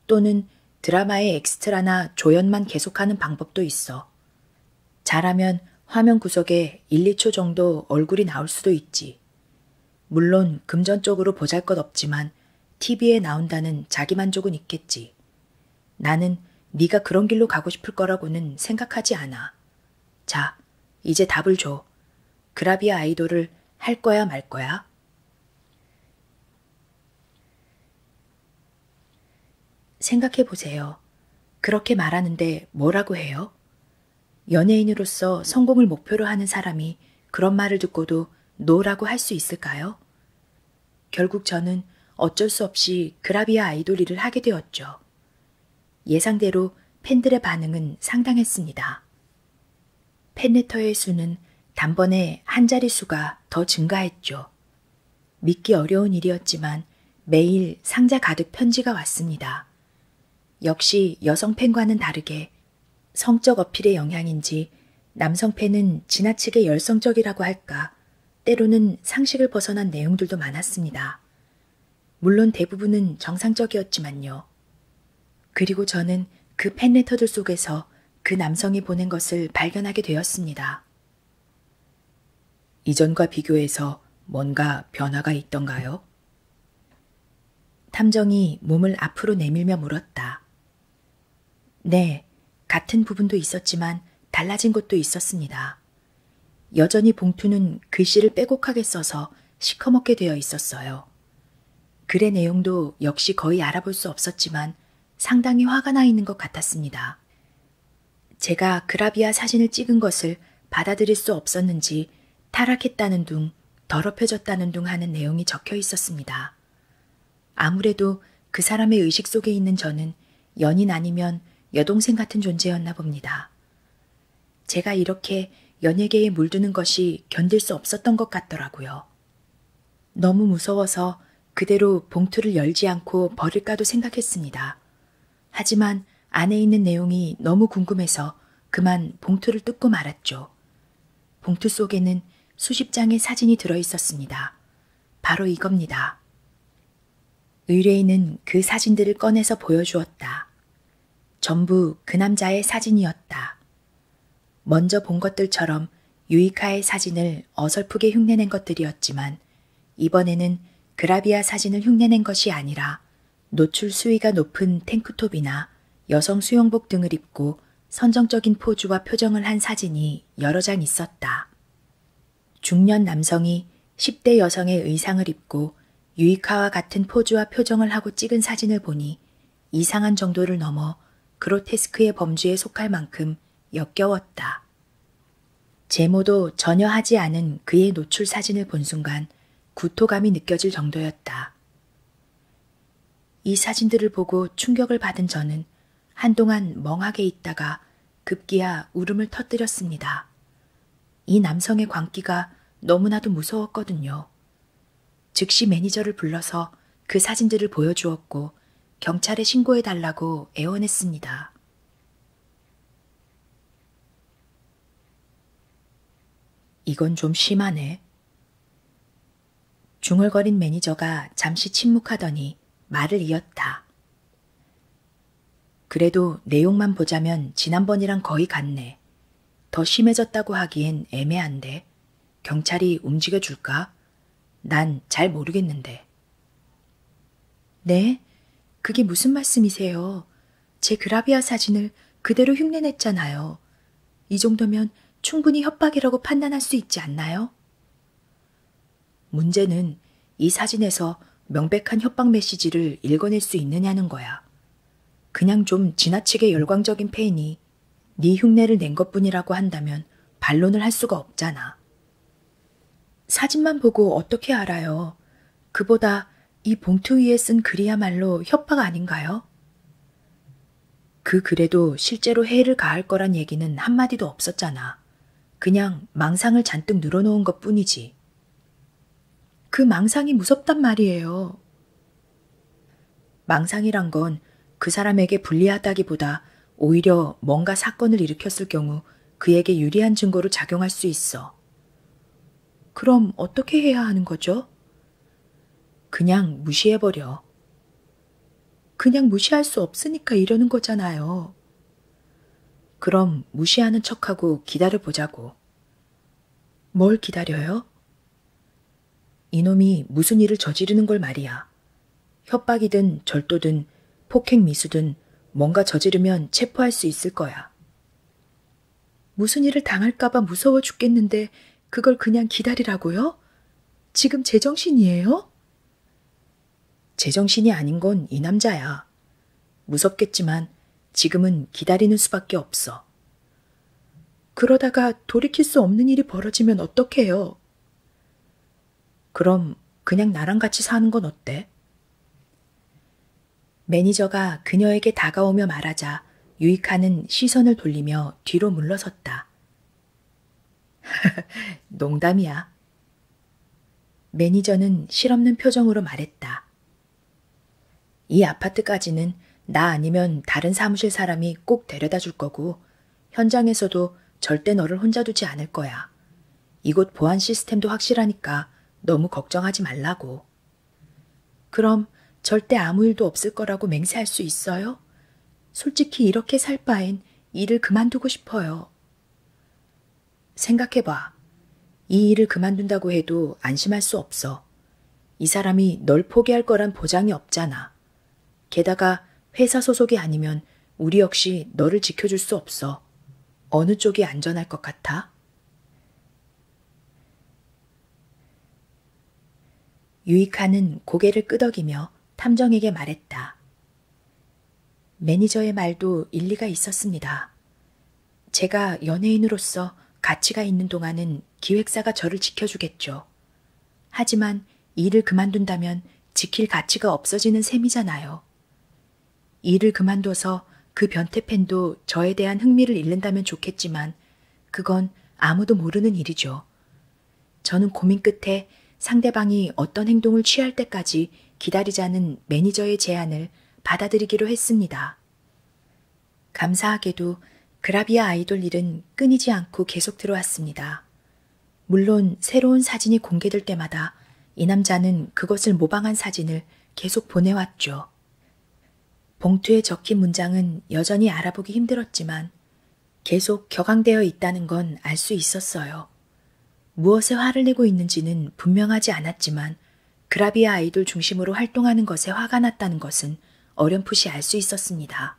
또는 드라마의 엑스트라나 조연만 계속하는 방법도 있어. 잘하면 화면 구석에 1, 2초 정도 얼굴이 나올 수도 있지. 물론 금전적으로 보잘 것 없지만 TV에 나온다는 자기만족은 있겠지. 나는 네가 그런 길로 가고 싶을 거라고는 생각하지 않아. 자, 이제 답을 줘. 그라비아 아이돌을 할 거야 말 거야? 생각해 보세요. 그렇게 말하는데 뭐라고 해요? 연예인으로서 성공을 목표로 하는 사람이 그런 말을 듣고도 노라고 할 수 있을까요? 결국 저는 어쩔 수 없이 그라비아 아이돌 일을 하게 되었죠. 예상대로 팬들의 반응은 상당했습니다. 팬레터의 수는 단번에 한 자릿수가 더 증가했죠. 믿기 어려운 일이었지만 매일 상자 가득 편지가 왔습니다. 역시 여성 팬과는 다르게 성적 어필의 영향인지 남성 팬은 지나치게 열성적이라고 할까 때로는 상식을 벗어난 내용들도 많았습니다. 물론 대부분은 정상적이었지만요. 그리고 저는 그 팬레터들 속에서 그 남성이 보낸 것을 발견하게 되었습니다. 이전과 비교해서 뭔가 변화가 있던가요? 탐정이 몸을 앞으로 내밀며 물었다. 네, 같은 부분도 있었지만 달라진 것도 있었습니다. 여전히 봉투는 글씨를 빼곡하게 써서 시커멓게 되어 있었어요. 글의 내용도 역시 거의 알아볼 수 없었지만 상당히 화가 나 있는 것 같았습니다. 제가 그라비아 사진을 찍은 것을 받아들일 수 없었는지 타락했다는 둥, 더럽혀졌다는 둥 하는 내용이 적혀 있었습니다. 아무래도 그 사람의 의식 속에 있는 저는 연인 아니면 여동생 같은 존재였나 봅니다. 제가 이렇게 연예계에 물드는 것이 견딜 수 없었던 것 같더라고요. 너무 무서워서 그대로 봉투를 열지 않고 버릴까도 생각했습니다. 하지만 안에 있는 내용이 너무 궁금해서 그만 봉투를 뜯고 말았죠. 봉투 속에는 수십 장의 사진이 들어 있었습니다. 바로 이겁니다. 의뢰인은 그 사진들을 꺼내서 보여주었다. 전부 그 남자의 사진이었다. 먼저 본 것들처럼 유이카의 사진을 어설프게 흉내낸 것들이었지만 이번에는 그라비아 사진을 흉내낸 것이 아니라 노출 수위가 높은 탱크톱이나 여성 수영복 등을 입고 선정적인 포즈와 표정을 한 사진이 여러 장 있었다. 중년 남성이 10대 여성의 의상을 입고 유이카와 같은 포즈와 표정을 하고 찍은 사진을 보니 이상한 정도를 넘어 그로테스크의 범주에 속할 만큼 역겨웠다. 제모도 전혀 하지 않은 그의 노출 사진을 본 순간 구토감이 느껴질 정도였다. 이 사진들을 보고 충격을 받은 저는 한동안 멍하게 있다가 급기야 울음을 터뜨렸습니다. 이 남성의 광기가 너무나도 무서웠거든요. 즉시 매니저를 불러서 그 사진들을 보여주었고 경찰에 신고해달라고 애원했습니다. 이건 좀 심하네. 중얼거린 매니저가 잠시 침묵하더니 말을 이었다. 그래도 내용만 보자면 지난번이랑 거의 같네. 더 심해졌다고 하기엔 애매한데. 경찰이 움직여줄까? 난 잘 모르겠는데. 네? 그게 무슨 말씀이세요? 제 그라비아 사진을 그대로 흉내냈잖아요. 이 정도면 충분히 협박이라고 판단할 수 있지 않나요? 문제는 이 사진에서 명백한 협박 메시지를 읽어낼 수 있느냐는 거야. 그냥 좀 지나치게 열광적인 페인이 네 흉내를 낸 것뿐이라고 한다면 반론을 할 수가 없잖아. 사진만 보고 어떻게 알아요? 그보다 이 봉투 위에 쓴 글이야말로 협박 아닌가요? 그 글에도 실제로 해를 가할 거란 얘기는 한마디도 없었잖아. 그냥 망상을 잔뜩 늘어놓은 것 뿐이지. 그 망상이 무섭단 말이에요. 망상이란 건 그 사람에게 불리하다기보다 오히려 뭔가 사건을 일으켰을 경우 그에게 유리한 증거로 작용할 수 있어. 그럼 어떻게 해야 하는 거죠? 그냥 무시해버려. 그냥 무시할 수 없으니까 이러는 거잖아요. 그럼 무시하는 척하고 기다려보자고. 기다려요. 뭘 기다려요? 이놈이 무슨 일을 저지르는 걸 말이야. 협박이든 절도든 폭행 미수든 뭔가 저지르면 체포할 수 있을 거야. 무슨 일을 당할까봐 무서워 죽겠는데 그걸 그냥 기다리라고요? 지금 제정신이에요? 제정신이 아닌 건 이 남자야. 무섭겠지만 지금은 기다리는 수밖에 없어. 그러다가 돌이킬 수 없는 일이 벌어지면 어떡해요? 그럼 그냥 나랑 같이 사는 건 어때? 매니저가 그녀에게 다가오며 말하자 유익하는 시선을 돌리며 뒤로 물러섰다. 농담이야. 매니저는 실없는 표정으로 말했다. 이 아파트까지는 나 아니면 다른 사무실 사람이 꼭 데려다 줄 거고, 현장에서도 절대 너를 혼자 두지 않을 거야. 이곳 보안 시스템도 확실하니까 너무 걱정하지 말라고. 그럼 절대 아무 일도 없을 거라고 맹세할 수 있어요? 솔직히 이렇게 살 바엔 일을 그만두고 싶어요. 생각해봐. 이 일을 그만둔다고 해도 안심할 수 없어. 이 사람이 널 포기할 거란 보장이 없잖아. 게다가 회사 소속이 아니면 우리 역시 너를 지켜줄 수 없어. 어느 쪽이 안전할 것 같아? 유이카는 고개를 끄덕이며 탐정에게 말했다. 매니저의 말도 일리가 있었습니다. 제가 연예인으로서 가치가 있는 동안은 기획사가 저를 지켜주겠죠. 하지만 일을 그만둔다면 지킬 가치가 없어지는 셈이잖아요. 일을 그만둬서 그 변태팬도 저에 대한 흥미를 잃는다면 좋겠지만 그건 아무도 모르는 일이죠. 저는 고민 끝에 상대방이 어떤 행동을 취할 때까지 기다리자는 매니저의 제안을 받아들이기로 했습니다. 감사하게도 그라비아 아이돌 일은 끊이지 않고 계속 들어왔습니다. 물론 새로운 사진이 공개될 때마다 이 남자는 그것을 모방한 사진을 계속 보내왔죠. 봉투에 적힌 문장은 여전히 알아보기 힘들었지만 계속 격앙되어 있다는 건 알 수 있었어요. 무엇에 화를 내고 있는지는 분명하지 않았지만 그라비아 아이돌 중심으로 활동하는 것에 화가 났다는 것은 어렴풋이 알 수 있었습니다.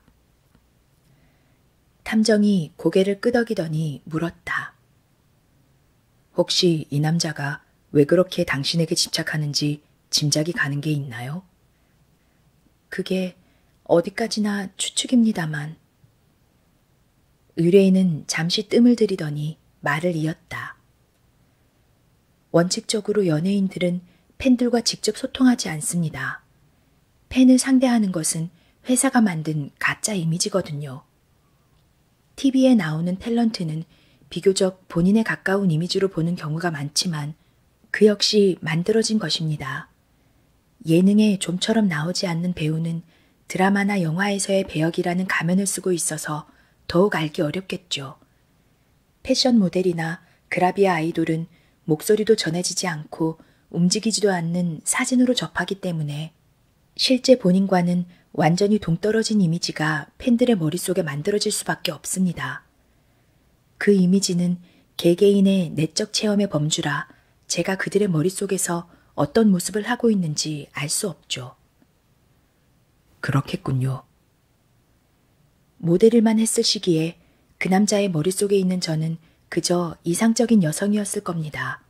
탐정이 고개를 끄덕이더니 물었다. 혹시 이 남자가 왜 그렇게 당신에게 집착하는지 짐작이 가는 게 있나요? 그게 어디까지나 추측입니다만. 의뢰인은 잠시 뜸을 들이더니 말을 이었다. 원칙적으로 연예인들은 팬들과 직접 소통하지 않습니다. 팬을 상대하는 것은 회사가 만든 가짜 이미지거든요. TV에 나오는 탤런트는 비교적 본인에 가까운 이미지로 보는 경우가 많지만 그 역시 만들어진 것입니다. 예능에 좀처럼 나오지 않는 배우는 드라마나 영화에서의 배역이라는 가면을 쓰고 있어서 더욱 알기 어렵겠죠. 패션 모델이나 그라비아 아이돌은 목소리도 전해지지 않고 움직이지도 않는 사진으로 접하기 때문에 실제 본인과는 완전히 동떨어진 이미지가 팬들의 머릿속에 만들어질 수밖에 없습니다. 그 이미지는 개개인의 내적 체험의 범주라 제가 그들의 머릿속에서 어떤 모습을 하고 있는지 알 수 없죠. 그렇겠군요. 모델일만 했을 시기에 그 남자의 머릿속에 있는 저는 그저 이상적인 여성이었을 겁니다.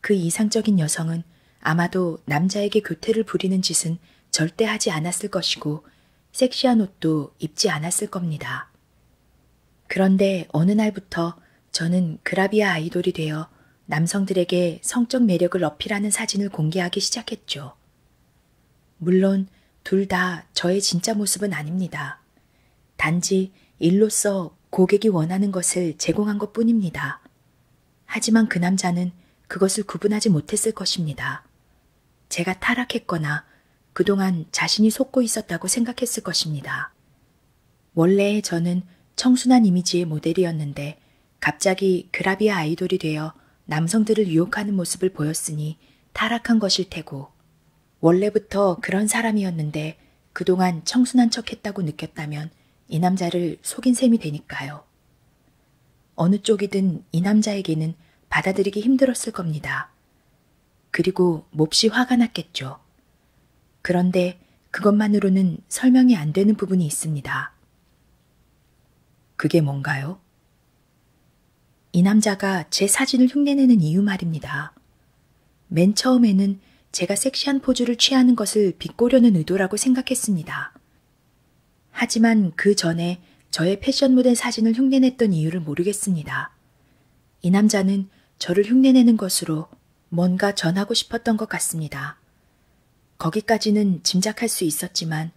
그 이상적인 여성은 아마도 남자에게 교태를 부리는 짓은 절대 하지 않았을 것이고 섹시한 옷도 입지 않았을 겁니다. 그런데 어느 날부터 저는 그라비아 아이돌이 되어 남성들에게 성적 매력을 어필하는 사진을 공개하기 시작했죠. 물론 둘 다 저의 진짜 모습은 아닙니다. 단지 일로서 고객이 원하는 것을 제공한 것 뿐입니다. 하지만 그 남자는 그것을 구분하지 못했을 것입니다. 제가 타락했거나 그동안 자신이 속고 있었다고 생각했을 것입니다. 원래의 저는 청순한 이미지의 모델이었는데 갑자기 그라비아 아이돌이 되어 남성들을 유혹하는 모습을 보였으니 타락한 것일 테고, 원래부터 그런 사람이었는데 그동안 청순한 척 했다고 느꼈다면 이 남자를 속인 셈이 되니까요. 어느 쪽이든 이 남자에게는 받아들이기 힘들었을 겁니다. 그리고 몹시 화가 났겠죠. 그런데 그것만으로는 설명이 안 되는 부분이 있습니다. 그게 뭔가요? 이 남자가 제 사진을 흉내내는 이유 말입니다. 맨 처음에는 제가 섹시한 포즈를 취하는 것을 비꼬려는 의도라고 생각했습니다. 하지만 그 전에 저의 패션 모델 사진을 흉내냈던 이유를 모르겠습니다. 이 남자는 저를 흉내내는 것으로 뭔가 전하고 싶었던 것 같습니다. 거기까지는 짐작할 수 있었지만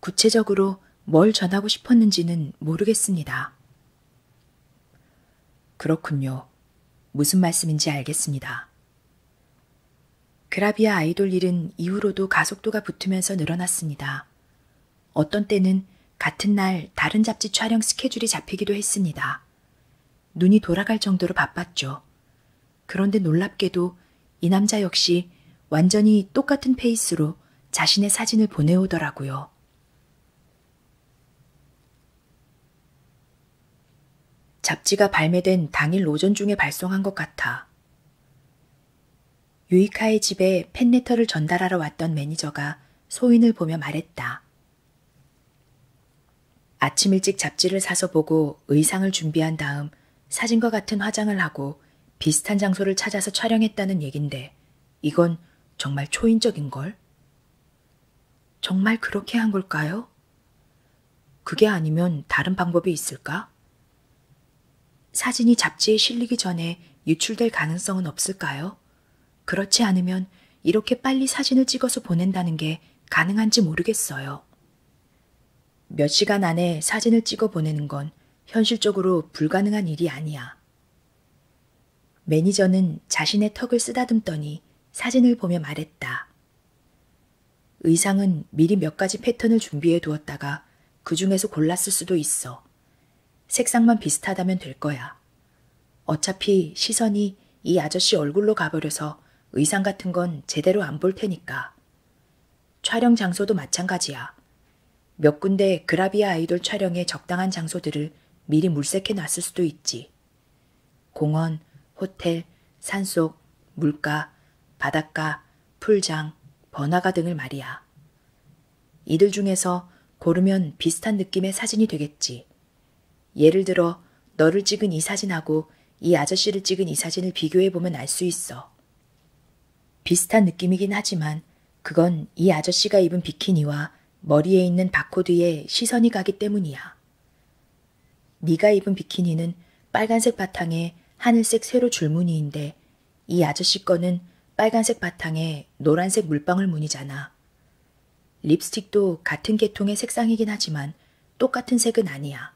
구체적으로 뭘 전하고 싶었는지는 모르겠습니다. 그렇군요. 무슨 말씀인지 알겠습니다. 그라비아 아이돌 일은 이후로도 가속도가 붙으면서 늘어났습니다. 어떤 때는 같은 날 다른 잡지 촬영 스케줄이 잡히기도 했습니다. 눈이 돌아갈 정도로 바빴죠. 그런데 놀랍게도 이 남자 역시 완전히 똑같은 페이스로 자신의 사진을 보내오더라고요. 잡지가 발매된 당일 오전 중에 발송한 것 같아. 유이카의 집에 팬레터를 전달하러 왔던 매니저가 소인을 보며 말했다. 아침 일찍 잡지를 사서 보고 의상을 준비한 다음 사진과 같은 화장을 하고 비슷한 장소를 찾아서 촬영했다는 얘긴데 이건 정말 초인적인걸? 정말 그렇게 한 걸까요? 그게 아니면 다른 방법이 있을까? 사진이 잡지에 실리기 전에 유출될 가능성은 없을까요? 그렇지 않으면 이렇게 빨리 사진을 찍어서 보낸다는 게 가능한지 모르겠어요. 몇 시간 안에 사진을 찍어 보내는 건 현실적으로 불가능한 일이 아니야. 매니저는 자신의 턱을 쓰다듬더니 사진을 보며 말했다. 의상은 미리 몇 가지 패턴을 준비해 두었다가 그 중에서 골랐을 수도 있어. 색상만 비슷하다면 될 거야. 어차피 시선이 이 아저씨 얼굴로 가버려서 의상 같은 건 제대로 안 볼 테니까. 촬영 장소도 마찬가지야. 몇 군데 그라비아 아이돌 촬영에 적당한 장소들을 미리 물색해 놨을 수도 있지. 공원, 호텔, 산속, 물가, 바닷가, 풀장, 번화가 등을 말이야. 이들 중에서 고르면 비슷한 느낌의 사진이 되겠지. 예를 들어 너를 찍은 이 사진하고 이 아저씨를 찍은 이 사진을 비교해보면 알 수 있어. 비슷한 느낌이긴 하지만 그건 이 아저씨가 입은 비키니와 머리에 있는 바코드에 시선이 가기 때문이야. 네가 입은 비키니는 빨간색 바탕에 하늘색 세로 줄무늬인데 이 아저씨 거는 빨간색 바탕에 노란색 물방울 무늬잖아. 립스틱도 같은 계통의 색상이긴 하지만 똑같은 색은 아니야.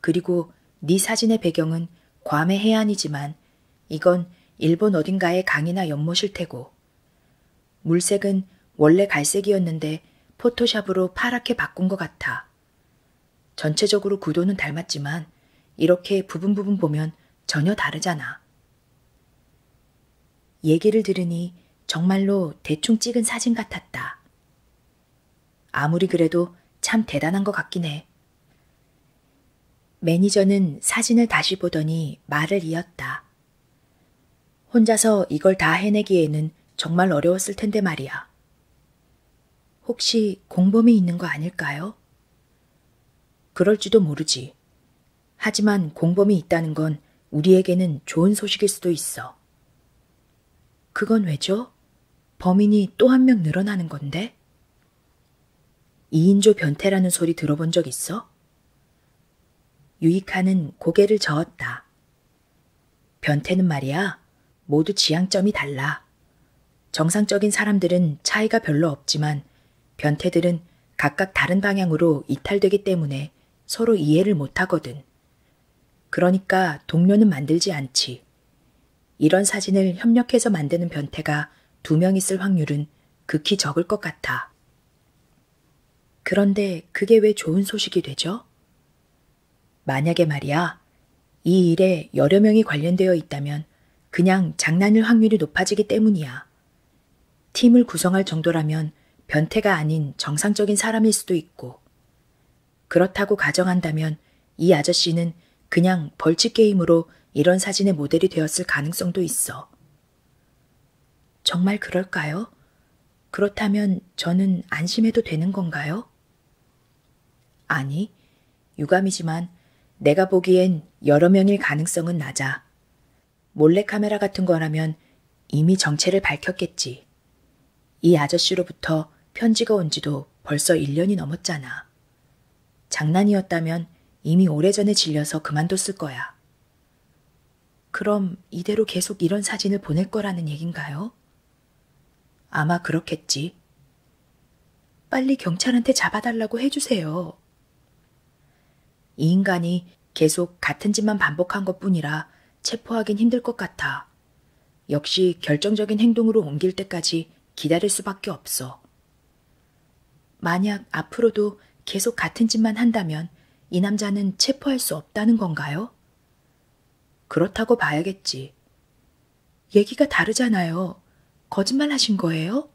그리고 네 사진의 배경은 괌의 해안이지만 이건 일본 어딘가의 강이나 연못일 테고 물색은 원래 갈색이었는데 포토샵으로 파랗게 바꾼 것 같아. 전체적으로 구도는 닮았지만 이렇게 부분 부분 보면 전혀 다르잖아. 얘기를 들으니 정말로 대충 찍은 사진 같았다. 아무리 그래도 참 대단한 것 같긴 해. 매니저는 사진을 다시 보더니 말을 이었다. 혼자서 이걸 다 해내기에는 정말 어려웠을 텐데 말이야. 혹시 공범이 있는 거 아닐까요? 그럴지도 모르지. 하지만 공범이 있다는 건 우리에게는 좋은 소식일 수도 있어. 그건 왜죠? 범인이 또 한 명 늘어나는 건데? 2인조 변태라는 소리 들어본 적 있어? 유익하는 고개를 저었다. 변태는 말이야, 모두 지향점이 달라. 정상적인 사람들은 차이가 별로 없지만, 변태들은 각각 다른 방향으로 이탈되기 때문에 서로 이해를 못하거든. 그러니까 동료는 만들지 않지. 이런 사진을 협력해서 만드는 변태가 두 명 있을 확률은 극히 적을 것 같아. 그런데 그게 왜 좋은 소식이 되죠? 만약에 말이야, 이 일에 여러 명이 관련되어 있다면 그냥 장난일 확률이 높아지기 때문이야. 팀을 구성할 정도라면 변태가 아닌 정상적인 사람일 수도 있고, 그렇다고 가정한다면 이 아저씨는 그냥 벌칙 게임으로 이런 사진의 모델이 되었을 가능성도 있어. 정말 그럴까요? 그렇다면 저는 안심해도 되는 건가요? 아니, 유감이지만 내가 보기엔 여러 명일 가능성은 낮아. 몰래카메라 같은 거라면 이미 정체를 밝혔겠지. 이 아저씨로부터 편지가 온 지도 벌써 1년이 넘었잖아. 장난이었다면 이미 오래전에 질려서 그만뒀을 거야. 그럼 이대로 계속 이런 사진을 보낼 거라는 얘긴가요? 아마 그렇겠지. 빨리 경찰한테 잡아달라고 해주세요. 이 인간이 계속 같은 짓만 반복한 것 뿐이라 체포하긴 힘들 것 같아. 역시 결정적인 행동으로 옮길 때까지 기다릴 수밖에 없어. 만약 앞으로도 계속 같은 짓만 한다면 이 남자는 체포할 수 없다는 건가요? 그렇다고 봐야겠지. 얘기가 다르잖아요. 거짓말 하신 거예요?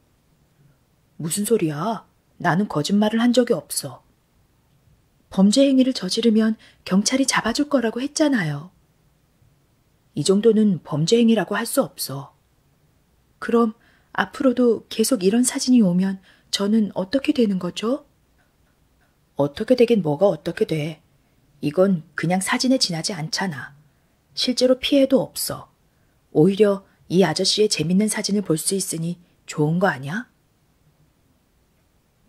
무슨 소리야? 나는 거짓말을 한 적이 없어. 범죄 행위를 저지르면 경찰이 잡아줄 거라고 했잖아요. 이 정도는 범죄 행위라고 할 수 없어. 그럼 앞으로도 계속 이런 사진이 오면 저는 어떻게 되는 거죠? 어떻게 되긴 뭐가 어떻게 돼. 이건 그냥 사진에 지나지 않잖아. 실제로 피해도 없어. 오히려 이 아저씨의 재밌는 사진을 볼 수 있으니 좋은 거 아니야?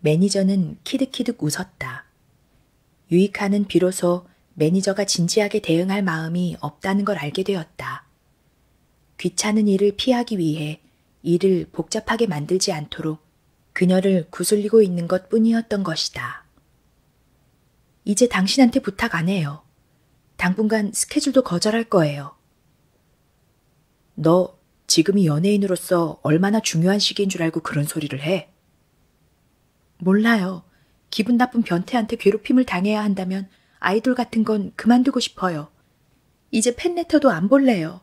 매니저는 키득키득 웃었다. 유이카는 비로소 매니저가 진지하게 대응할 마음이 없다는 걸 알게 되었다. 귀찮은 일을 피하기 위해 일을 복잡하게 만들지 않도록 그녀를 구슬리고 있는 것 뿐이었던 것이다. 이제 당신한테 부탁 안 해요. 당분간 스케줄도 거절할 거예요. 너 지금이 연예인으로서 얼마나 중요한 시기인 줄 알고 그런 소리를 해? 몰라요. 기분 나쁜 변태한테 괴롭힘을 당해야 한다면 아이돌 같은 건 그만두고 싶어요. 이제 팬레터도 안 볼래요.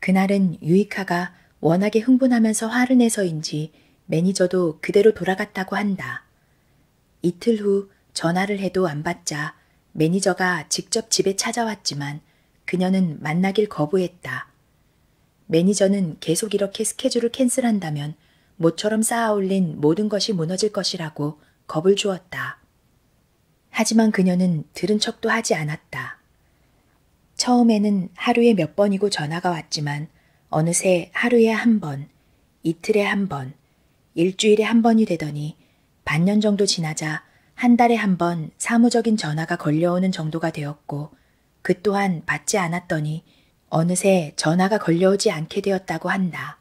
그날은 유이카가 워낙에 흥분하면서 화를 내서인지 매니저도 그대로 돌아갔다고 한다. 이틀 후 전화를 해도 안 받자 매니저가 직접 집에 찾아왔지만 그녀는 만나길 거부했다. 매니저는 계속 이렇게 스케줄을 캔슬한다면 모처럼 쌓아올린 모든 것이 무너질 것이라고 겁을 주었다. 하지만 그녀는 들은 척도 하지 않았다. 처음에는 하루에 몇 번이고 전화가 왔지만 어느새 하루에 한 번, 이틀에 한 번, 일주일에 한 번이 되더니 반년 정도 지나자 한 달에 한 번 사무적인 전화가 걸려오는 정도가 되었고 그 또한 받지 않았더니 어느새 전화가 걸려오지 않게 되었다고 한다.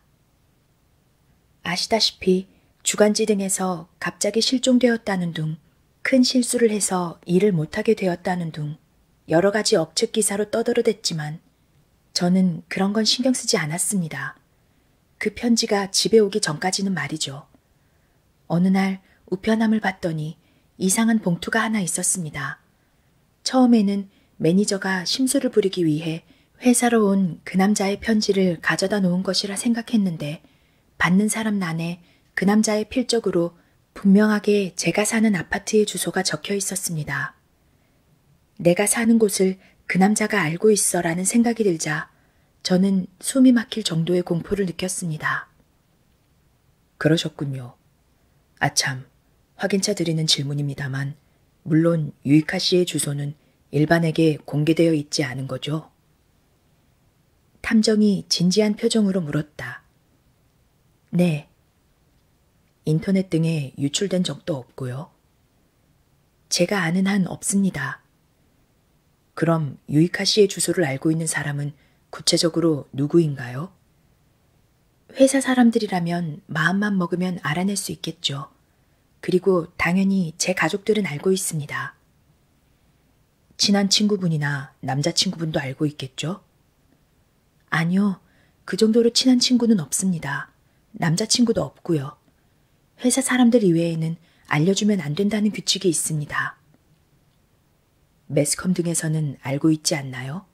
아시다시피 주간지 등에서 갑자기 실종되었다는 둥, 큰 실수를 해서 일을 못하게 되었다는 둥, 여러 가지 억측 기사로 떠들어댔지만 저는 그런 건 신경 쓰지 않았습니다. 그 편지가 집에 오기 전까지는 말이죠. 어느 날 우편함을 봤더니 이상한 봉투가 하나 있었습니다. 처음에는 매니저가 심술을 부리기 위해 회사로 온 그 남자의 편지를 가져다 놓은 것이라 생각했는데 받는 사람 난에 그 남자의 필적으로 분명하게 제가 사는 아파트의 주소가 적혀 있었습니다. 내가 사는 곳을 그 남자가 알고 있어라는 생각이 들자 저는 숨이 막힐 정도의 공포를 느꼈습니다. 그러셨군요. 아참, 확인차 드리는 질문입니다만, 물론 유이카 씨의 주소는 일반에게 공개되어 있지 않은 거죠? 탐정이 진지한 표정으로 물었다. 네. 인터넷 등에 유출된 적도 없고요. 제가 아는 한 없습니다. 그럼 유이카 씨의 주소를 알고 있는 사람은 구체적으로 누구인가요? 회사 사람들이라면 마음만 먹으면 알아낼 수 있겠죠. 그리고 당연히 제 가족들은 알고 있습니다. 친한 친구분이나 남자친구분도 알고 있겠죠? 아니요. 그 정도로 친한 친구는 없습니다. 남자친구도 없고요. 회사 사람들 이외에는 알려주면 안 된다는 규칙이 있습니다. 매스컴 등에서는 알고 있지 않나요?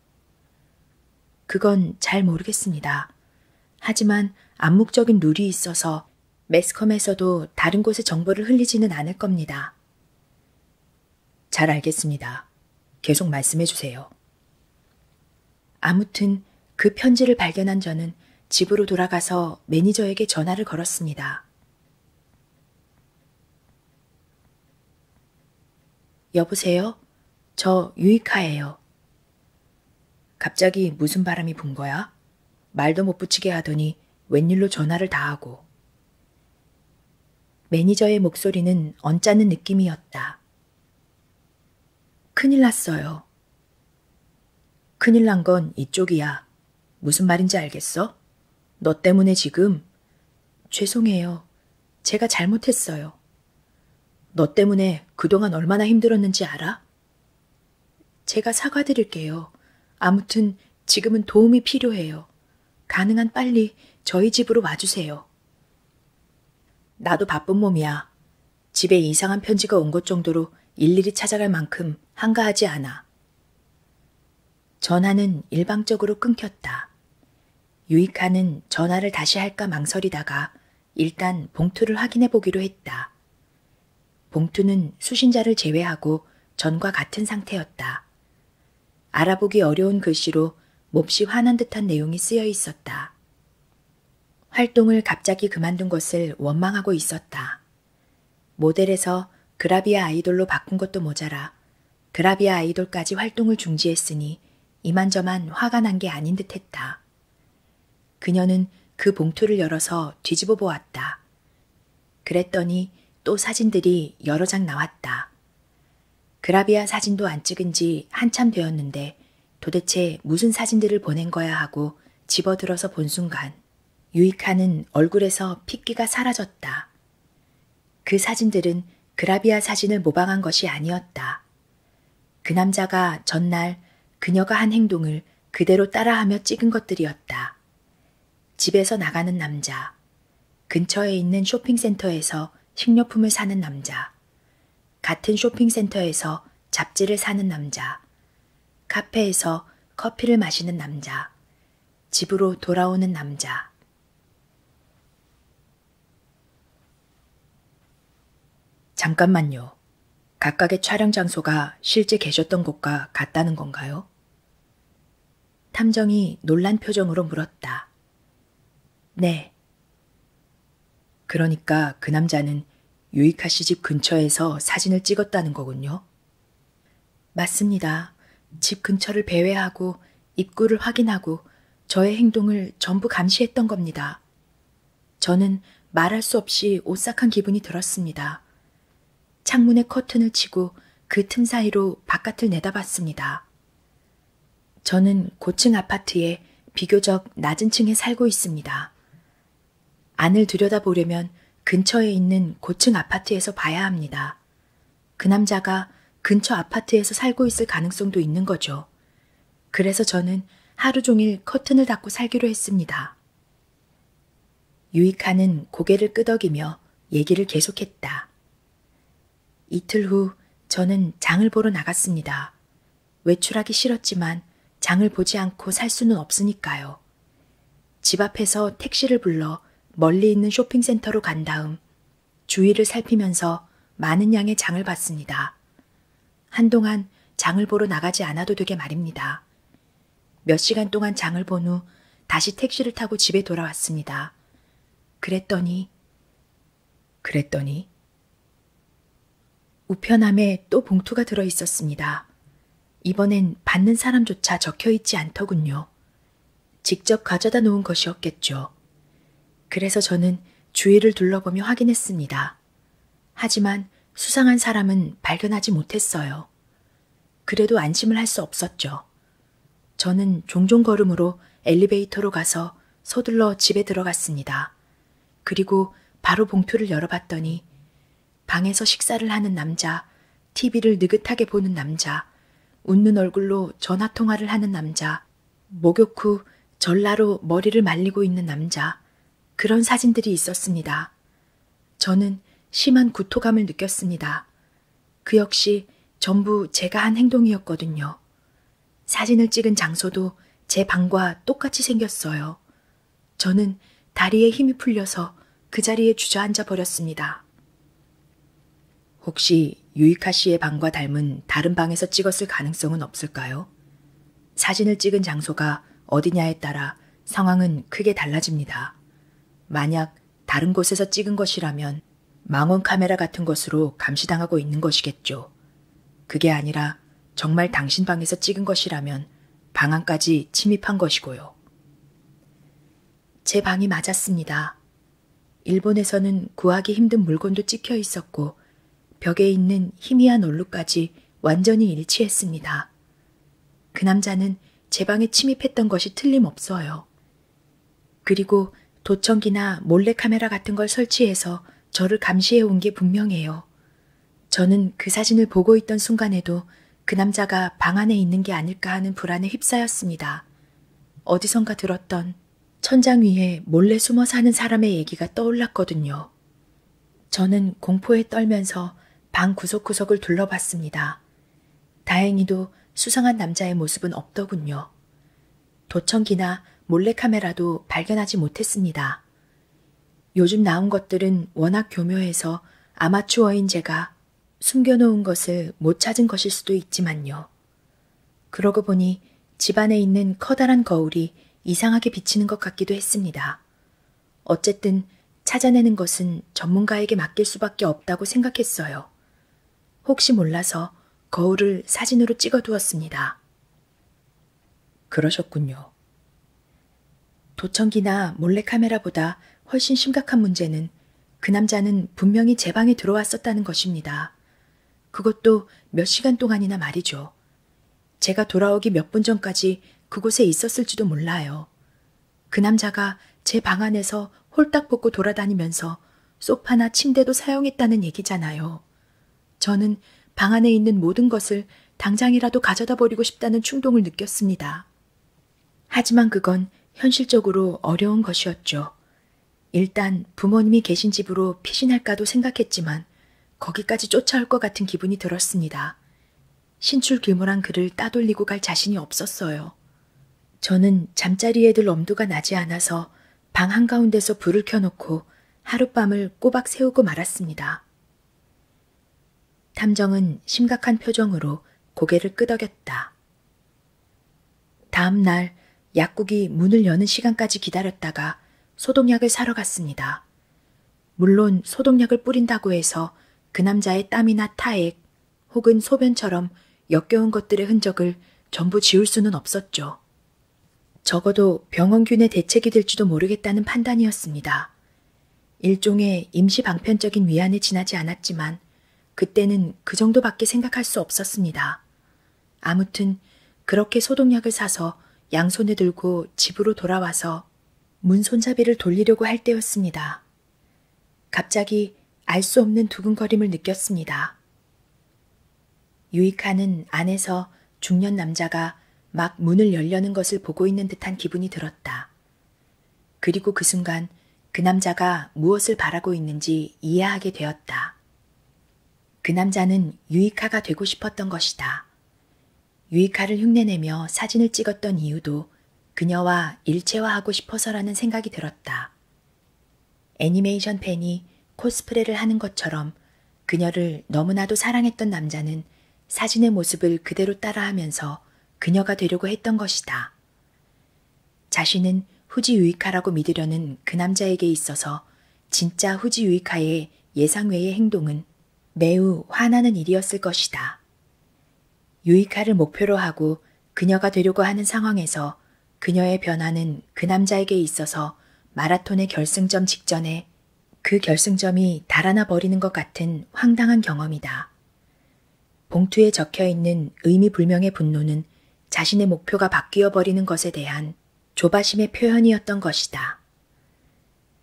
그건 잘 모르겠습니다. 하지만 암묵적인 룰이 있어서 매스컴에서도 다른 곳에 정보를 흘리지는 않을 겁니다. 잘 알겠습니다. 계속 말씀해 주세요. 아무튼 그 편지를 발견한 저는 집으로 돌아가서 매니저에게 전화를 걸었습니다. 여보세요? 저 유이카예요. 갑자기 무슨 바람이 분 거야? 말도 못 붙이게 하더니 웬일로 전화를 다 하고. 매니저의 목소리는 언짢은 느낌이었다. 큰일 났어요. 큰일 난 건 이쪽이야. 무슨 말인지 알겠어? 너 때문에 지금. 죄송해요. 제가 잘못했어요. 너 때문에 그동안 얼마나 힘들었는지 알아? 제가 사과드릴게요. 아무튼 지금은 도움이 필요해요. 가능한 빨리 저희 집으로 와주세요. 나도 바쁜 몸이야. 집에 이상한 편지가 온 것 정도로 일일이 찾아갈 만큼 한가하지 않아. 전화는 일방적으로 끊겼다. 유익하는 전화를 다시 할까 망설이다가 일단 봉투를 확인해 보기로 했다. 봉투는 수신자를 제외하고 전과 같은 상태였다. 알아보기 어려운 글씨로 몹시 화난 듯한 내용이 쓰여 있었다. 활동을 갑자기 그만둔 것을 원망하고 있었다. 모델에서 그라비아 아이돌로 바꾼 것도 모자라 그라비아 아이돌까지 활동을 중지했으니 이만저만 화가 난 게 아닌 듯했다. 그녀는 그 봉투를 열어서 뒤집어 보았다. 그랬더니 또 사진들이 여러 장 나왔다. 그라비아 사진도 안 찍은 지 한참 되었는데 도대체 무슨 사진들을 보낸 거야 하고 집어들어서 본 순간 유이카는 얼굴에서 핏기가 사라졌다. 그 사진들은 그라비아 사진을 모방한 것이 아니었다. 그 남자가 전날 그녀가 한 행동을 그대로 따라하며 찍은 것들이었다. 집에서 나가는 남자, 근처에 있는 쇼핑센터에서 식료품을 사는 남자, 같은 쇼핑센터에서 잡지를 사는 남자, 카페에서 커피를 마시는 남자, 집으로 돌아오는 남자. 잠깐만요. 각각의 촬영 장소가 실제 계셨던 곳과 같다는 건가요? 탐정이 놀란 표정으로 물었다. 네. 그러니까 그 남자는 유이카 씨 집 근처에서 사진을 찍었다는 거군요. 맞습니다. 집 근처를 배회하고 입구를 확인하고 저의 행동을 전부 감시했던 겁니다. 저는 말할 수 없이 오싹한 기분이 들었습니다. 창문에 커튼을 치고 그 틈 사이로 바깥을 내다봤습니다. 저는 고층 아파트에 비교적 낮은 층에 살고 있습니다. 안을 들여다보려면 근처에 있는 고층 아파트에서 봐야 합니다. 그 남자가 근처 아파트에서 살고 있을 가능성도 있는 거죠. 그래서 저는 하루 종일 커튼을 닫고 살기로 했습니다. 유익하는 고개를 끄덕이며 얘기를 계속했다. 이틀 후 저는 장을 보러 나갔습니다. 외출하기 싫었지만 장을 보지 않고 살 수는 없으니까요. 집 앞에서 택시를 불러 멀리 있는 쇼핑센터로 간 다음 주위를 살피면서 많은 양의 장을 봤습니다. 한동안 장을 보러 나가지 않아도 되게 말입니다. 몇 시간 동안 장을 본 후 다시 택시를 타고 집에 돌아왔습니다. 그랬더니, 그랬더니, 우편함에 또 봉투가 들어 있었습니다. 이번엔 받는 사람조차 적혀 있지 않더군요. 직접 가져다 놓은 것이었겠죠. 그래서 저는 주위를 둘러보며 확인했습니다. 하지만 수상한 사람은 발견하지 못했어요. 그래도 안심을 할 수 없었죠. 저는 종종 걸음으로 엘리베이터로 가서 서둘러 집에 들어갔습니다. 그리고 바로 봉투를 열어봤더니 방에서 식사를 하는 남자, TV를 느긋하게 보는 남자, 웃는 얼굴로 전화통화를 하는 남자, 목욕 후 전라로 머리를 말리고 있는 남자, 그런 사진들이 있었습니다. 저는 심한 구토감을 느꼈습니다. 그 역시 전부 제가 한 행동이었거든요. 사진을 찍은 장소도 제 방과 똑같이 생겼어요. 저는 다리에 힘이 풀려서 그 자리에 주저앉아 버렸습니다. 혹시 유이카 씨의 방과 닮은 다른 방에서 찍었을 가능성은 없을까요? 사진을 찍은 장소가 어디냐에 따라 상황은 크게 달라집니다. 만약 다른 곳에서 찍은 것이라면 망원 카메라 같은 것으로 감시당하고 있는 것이겠죠. 그게 아니라 정말 당신 방에서 찍은 것이라면 방 안까지 침입한 것이고요. 제 방이 맞았습니다. 일본에서는 구하기 힘든 물건도 찍혀 있었고 벽에 있는 희미한 얼룩까지 완전히 일치했습니다. 그 남자는 제 방에 침입했던 것이 틀림없어요. 그리고 도청기나 몰래카메라 같은 걸 설치해서 저를 감시해 온 게 분명해요. 저는 그 사진을 보고 있던 순간에도 그 남자가 방 안에 있는 게 아닐까 하는 불안에 휩싸였습니다. 어디선가 들었던 천장 위에 몰래 숨어 사는 사람의 얘기가 떠올랐거든요. 저는 공포에 떨면서 방 구석구석을 둘러봤습니다. 다행히도 수상한 남자의 모습은 없더군요. 도청기나 몰래카메라도 발견하지 못했습니다. 요즘 나온 것들은 워낙 교묘해서 아마추어인 제가 숨겨놓은 것을 못 찾은 것일 수도 있지만요. 그러고 보니 집 안에 있는 커다란 거울이 이상하게 비치는 것 같기도 했습니다. 어쨌든 찾아내는 것은 전문가에게 맡길 수밖에 없다고 생각했어요. 혹시 몰라서 거울을 사진으로 찍어 두었습니다. 그러셨군요. 도청기나 몰래카메라보다 훨씬 심각한 문제는 그 남자는 분명히 제 방에 들어왔었다는 것입니다. 그것도 몇 시간 동안이나 말이죠. 제가 돌아오기 몇 분 전까지 그곳에 있었을지도 몰라요. 그 남자가 제 방 안에서 홀딱 벗고 돌아다니면서 소파나 침대도 사용했다는 얘기잖아요. 저는 방 안에 있는 모든 것을 당장이라도 가져다 버리고 싶다는 충동을 느꼈습니다. 하지만 그건 현실적으로 어려운 것이었죠. 일단 부모님이 계신 집으로 피신할까도 생각했지만 거기까지 쫓아올 것 같은 기분이 들었습니다. 신출 규모란 그를 따돌리고 갈 자신이 없었어요. 저는 잠자리에 들 엄두가 나지 않아서 방 한가운데서 불을 켜놓고 하룻밤을 꼬박 세우고 말았습니다. 탐정은 심각한 표정으로 고개를 끄덕였다. 다음 날 약국이 문을 여는 시간까지 기다렸다가 소독약을 사러 갔습니다. 물론 소독약을 뿌린다고 해서 그 남자의 땀이나 타액 혹은 소변처럼 역겨운 것들의 흔적을 전부 지울 수는 없었죠. 적어도 병원균의 대책이 될지도 모르겠다는 판단이었습니다. 일종의 임시 방편적인 위안에 지나지 않았지만 그때는 그 정도밖에 생각할 수 없었습니다. 아무튼 그렇게 소독약을 사서 양손에 들고 집으로 돌아와서 문 손잡이를 돌리려고 할 때였습니다. 갑자기 알 수 없는 두근거림을 느꼈습니다. 유이카는 안에서 중년 남자가 막 문을 열려는 것을 보고 있는 듯한 기분이 들었다. 그리고 그 순간 그 남자가 무엇을 바라고 있는지 이해하게 되었다. 그 남자는 유이카가 되고 싶었던 것이다. 유이카를 흉내내며 사진을 찍었던 이유도 그녀와 일체화하고 싶어서라는 생각이 들었다. 애니메이션 팬이 코스프레를 하는 것처럼 그녀를 너무나도 사랑했던 남자는 사진의 모습을 그대로 따라하면서 그녀가 되려고 했던 것이다. 자신은 후지유이카라고 믿으려는 그 남자에게 있어서 진짜 후지유이카의 예상 외의 행동은 매우 화나는 일이었을 것이다. 유이카를 목표로 하고 그녀가 되려고 하는 상황에서 그녀의 변화는 그 남자에게 있어서 마라톤의 결승점 직전에 그 결승점이 달아나 버리는 것 같은 황당한 경험이다. 봉투에 적혀 있는 의미불명의 분노는 자신의 목표가 바뀌어 버리는 것에 대한 조바심의 표현이었던 것이다.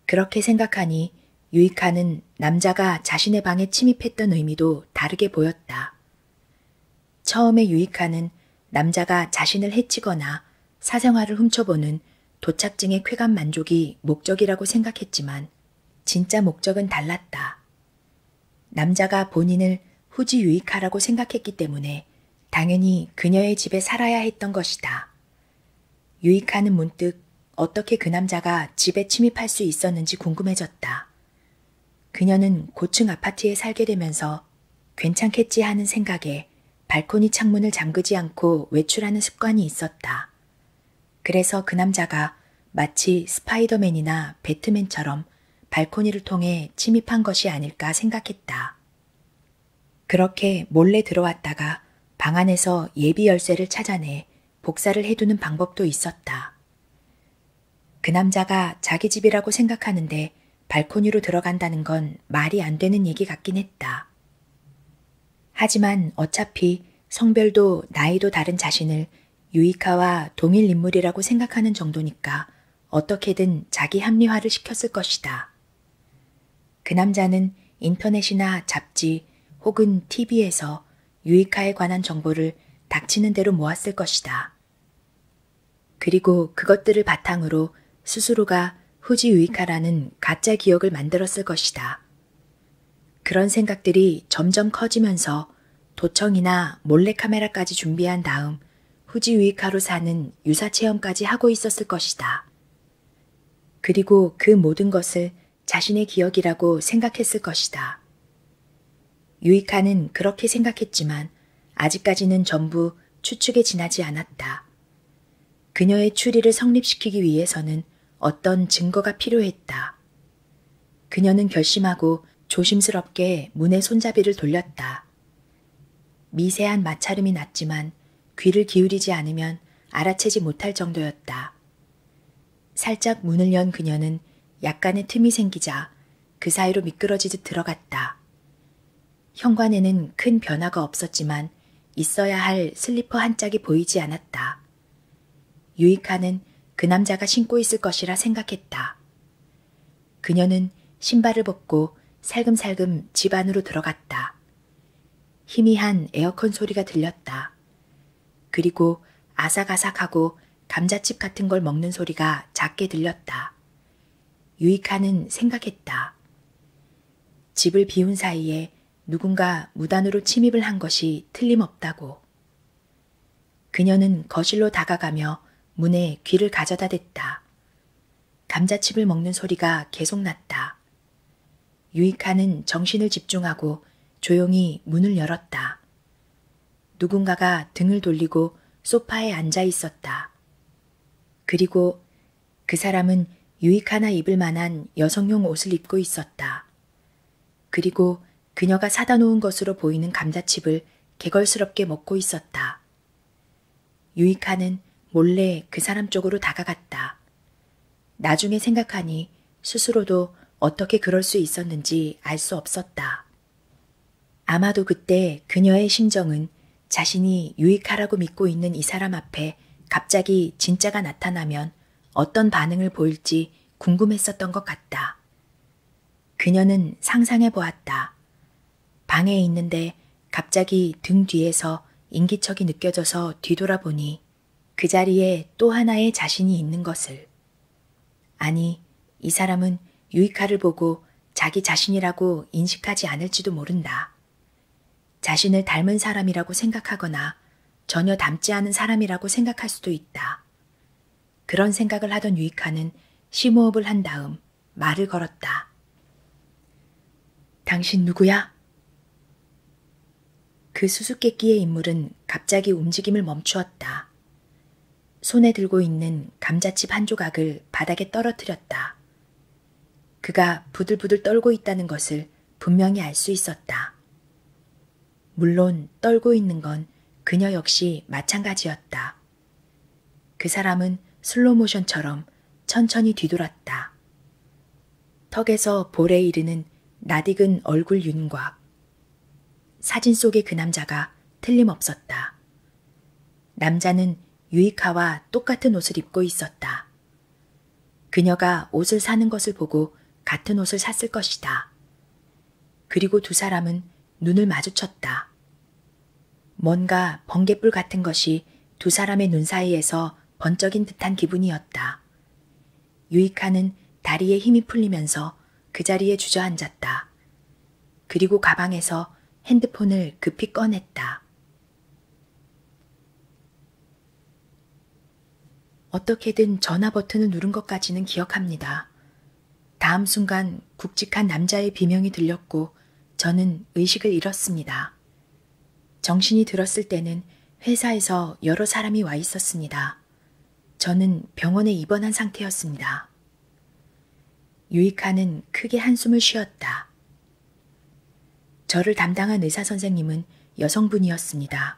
그렇게 생각하니 유이카는 남자가 자신의 방에 침입했던 의미도 다르게 보였다. 처음에 유이카는 남자가 자신을 해치거나 사생활을 훔쳐보는 도착증의 쾌감 만족이 목적이라고 생각했지만 진짜 목적은 달랐다. 남자가 본인을 후지유익하라고 생각했기 때문에 당연히 그녀의 집에 살아야 했던 것이다. 유익하는 문득 어떻게 그 남자가 집에 침입할 수 있었는지 궁금해졌다. 그녀는 고층 아파트에 살게 되면서 괜찮겠지 하는 생각에 발코니 창문을 잠그지 않고 외출하는 습관이 있었다. 그래서 그 남자가 마치 스파이더맨이나 배트맨처럼 발코니를 통해 침입한 것이 아닐까 생각했다. 그렇게 몰래 들어왔다가 방 안에서 예비 열쇠를 찾아내 복사를 해두는 방법도 있었다. 그 남자가 자기 집이라고 생각하는데 발코니로 들어간다는 건 말이 안 되는 얘기 같긴 했다. 하지만 어차피 성별도 나이도 다른 자신을 유이카와 동일 인물이라고 생각하는 정도니까 어떻게든 자기 합리화를 시켰을 것이다. 그 남자는 인터넷이나 잡지 혹은 TV에서 유이카에 관한 정보를 닥치는 대로 모았을 것이다. 그리고 그것들을 바탕으로 스스로가 후지 유이카라는 가짜 기억을 만들었을 것이다. 그런 생각들이 점점 커지면서 도청이나 몰래카메라까지 준비한 다음 후지위카로 사는 유사체험까지 하고 있었을 것이다. 그리고 그 모든 것을 자신의 기억이라고 생각했을 것이다. 유이카는 그렇게 생각했지만 아직까지는 전부 추측에 지나지 않았다. 그녀의 추리를 성립시키기 위해서는 어떤 증거가 필요했다. 그녀는 결심하고 조심스럽게 문의 손잡이를 돌렸다. 미세한 마찰음이 났지만 귀를 기울이지 않으면 알아채지 못할 정도였다. 살짝 문을 연 그녀는 약간의 틈이 생기자 그 사이로 미끄러지듯 들어갔다. 현관에는 큰 변화가 없었지만 있어야 할 슬리퍼 한 짝이 보이지 않았다. 유이카는 그 남자가 신고 있을 것이라 생각했다. 그녀는 신발을 벗고 살금살금 집 안으로 들어갔다. 희미한 에어컨 소리가 들렸다. 그리고 아삭아삭하고 감자칩 같은 걸 먹는 소리가 작게 들렸다. 유이카는 생각했다. 집을 비운 사이에 누군가 무단으로 침입을 한 것이 틀림없다고. 그녀는 거실로 다가가며 문에 귀를 가져다 댔다. 감자칩을 먹는 소리가 계속 났다. 유이카는 정신을 집중하고 조용히 문을 열었다. 누군가가 등을 돌리고 소파에 앉아 있었다. 그리고 그 사람은 유익 하나 입을 만한 여성용 옷을 입고 있었다. 그리고 그녀가 사다 놓은 것으로 보이는 감자칩을 개걸스럽게 먹고 있었다. 유익하는 몰래 그 사람 쪽으로 다가갔다. 나중에 생각하니 스스로도 어떻게 그럴 수 있었는지 알 수 없었다. 아마도 그때 그녀의 심정은 자신이 유익하라고 믿고 있는 이 사람 앞에 때문에 갑자기 진짜가 나타나면 어떤 반응을 보일지 궁금했었던 것 같다. 그녀는 상상해 보았다. 방에 있는데 갑자기 등 뒤에서 인기척이 느껴져서 뒤돌아보니 그 자리에 또 하나의 자신이 있는 것을. 아니, 이 사람은 유이카를 보고 자기 자신이라고 인식하지 않을지도 모른다. 자신을 닮은 사람이라고 생각하거나 전혀 닮지 않은 사람이라고 생각할 수도 있다. 그런 생각을 하던 유익하는 심호흡을 한 다음 말을 걸었다. 당신 누구야? 그 수수께끼의 인물은 갑자기 움직임을 멈추었다. 손에 들고 있는 감자칩 한 조각을 바닥에 떨어뜨렸다. 그가 부들부들 떨고 있다는 것을 분명히 알 수 있었다. 물론 떨고 있는 건 그녀 역시 마찬가지였다. 그 사람은 슬로모션처럼 천천히 뒤돌았다. 턱에서 볼에 이르는 나딕은 얼굴 윤곽. 사진 속의 그 남자가 틀림없었다. 남자는 유이카와 똑같은 옷을 입고 있었다. 그녀가 옷을 사는 것을 보고 같은 옷을 샀을 것이다. 그리고 두 사람은 눈을 마주쳤다. 뭔가 번개불 같은 것이 두 사람의 눈 사이에서 번쩍인 듯한 기분이었다. 유이카는 다리에 힘이 풀리면서 그 자리에 주저앉았다. 그리고 가방에서 핸드폰을 급히 꺼냈다. 어떻게든 전화 버튼을 누른 것까지는 기억합니다. 다음 순간 굵직한 남자의 비명이 들렸고 저는 의식을 잃었습니다. 정신이 들었을 때는 회사에서 여러 사람이 와 있었습니다. 저는 병원에 입원한 상태였습니다. 유이카는 크게 한숨을 쉬었다. 저를 담당한 의사 선생님은 여성분이었습니다.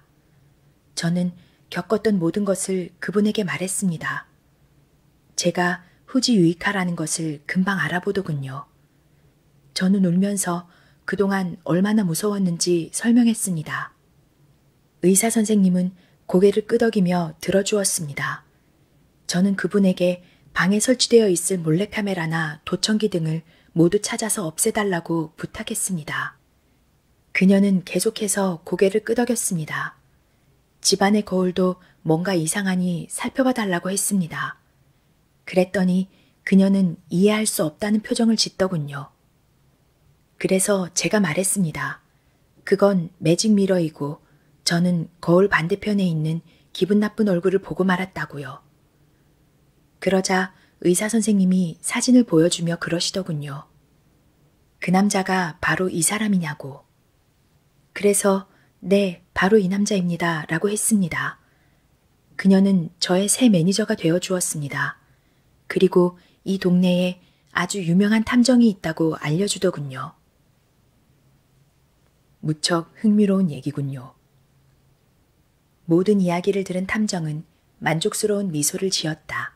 저는 겪었던 모든 것을 그분에게 말했습니다. 제가 후지유익하라는 것을 금방 알아보더군요. 저는 울면서 그동안 얼마나 무서웠는지 설명했습니다. 의사 선생님은 고개를 끄덕이며 들어주었습니다. 저는 그분에게 방에 설치되어 있을 몰래카메라나 도청기 등을 모두 찾아서 없애달라고 부탁했습니다. 그녀는 계속해서 고개를 끄덕였습니다. 집안의 거울도 뭔가 이상하니 살펴봐 달라고 했습니다. 그랬더니 그녀는 이해할 수 없다는 표정을 짓더군요. 그래서 제가 말했습니다. 그건 매직 미러이고 저는 거울 반대편에 있는 기분 나쁜 얼굴을 보고 말았다고요. 그러자 의사 선생님이 사진을 보여주며 그러시더군요. 그 남자가 바로 이 사람이냐고. 그래서, 네, 바로 이 남자입니다. 라고 했습니다. 그녀는 저의 새 매니저가 되어 주었습니다. 그리고 이 동네에 아주 유명한 탐정이 있다고 알려주더군요. 무척 흥미로운 얘기군요. 모든 이야기를 들은 탐정은 만족스러운 미소를 지었다.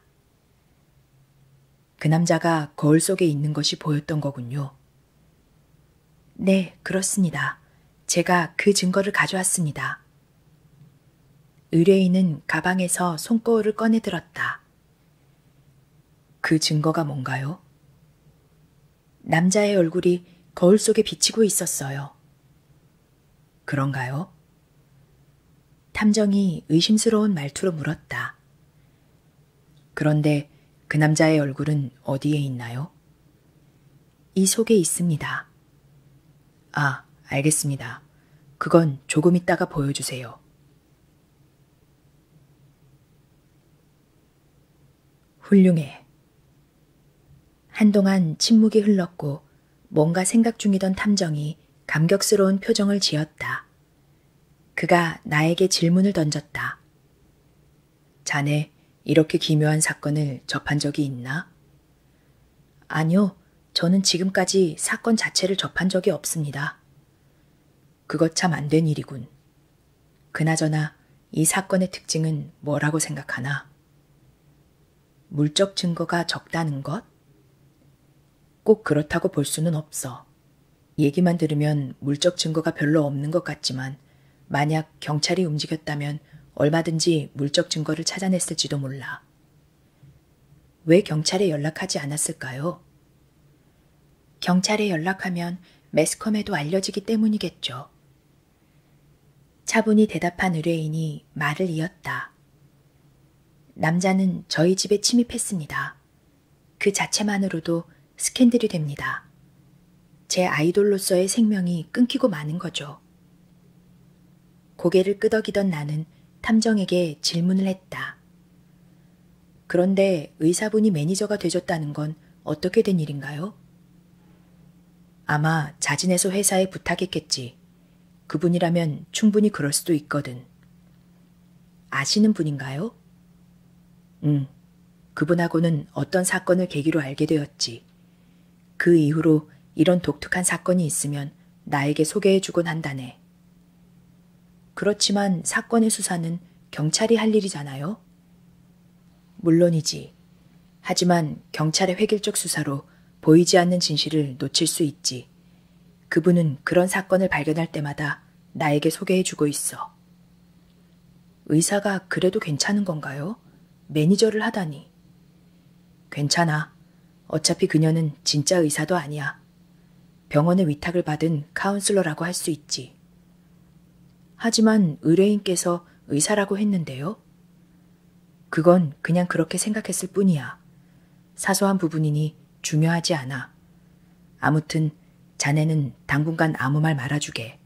그 남자가 거울 속에 있는 것이 보였던 거군요. 네, 그렇습니다. 제가 그 증거를 가져왔습니다. 의뢰인은 가방에서 손거울을 꺼내 들었다. 그 증거가 뭔가요? 남자의 얼굴이 거울 속에 비치고 있었어요. 그런가요? 탐정이 의심스러운 말투로 물었다. 그런데 그 남자의 얼굴은 어디에 있나요? 이 속에 있습니다. 아, 알겠습니다. 그건 조금 있다가 보여주세요. 훌륭해. 한동안 침묵이 흘렀고 뭔가 생각 중이던 탐정이 감격스러운 표정을 지었다. 그가 나에게 질문을 던졌다. 자네 이렇게 기묘한 사건을 접한 적이 있나? 아니요, 저는 지금까지 사건 자체를 접한 적이 없습니다. 그것 참 안된 일이군. 그나저나 이 사건의 특징은 뭐라고 생각하나? 물적 증거가 적다는 것? 꼭 그렇다고 볼 수는 없어. 얘기만 들으면 물적 증거가 별로 없는 것 같지만 만약 경찰이 움직였다면 얼마든지 물적 증거를 찾아냈을지도 몰라. 왜 경찰에 연락하지 않았을까요? 경찰에 연락하면 매스컴에도 알려지기 때문이겠죠. 차분히 대답한 의뢰인이 말을 이었다. 남자는 저희 집에 침입했습니다. 그 자체만으로도 스캔들이 됩니다. 제 아이돌로서의 생명이 끊기고 마는 거죠. 고개를 끄덕이던 나는 탐정에게 질문을 했다. 그런데 의사분이 매니저가 되셨다는 건 어떻게 된 일인가요? 아마 자진해서 회사에 부탁했겠지. 그분이라면 충분히 그럴 수도 있거든. 아시는 분인가요? 응. 그분하고는 어떤 사건을 계기로 알게 되었지. 그 이후로 이런 독특한 사건이 있으면 나에게 소개해주곤 한다네. 그렇지만 사건의 수사는 경찰이 할 일이잖아요? 물론이지. 하지만 경찰의 획일적 수사로 보이지 않는 진실을 놓칠 수 있지. 그분은 그런 사건을 발견할 때마다 나에게 소개해 주고 있어. 의사가 그래도 괜찮은 건가요? 매니저를 하다니. 괜찮아. 어차피 그녀는 진짜 의사도 아니야. 병원의 위탁을 받은 카운슬러라고 할 수 있지. 하지만 의뢰인께서 의사라고 했는데요. 그건 그냥 그렇게 생각했을 뿐이야. 사소한 부분이니 중요하지 않아. 아무튼 자네는 당분간 아무 말 말아주게.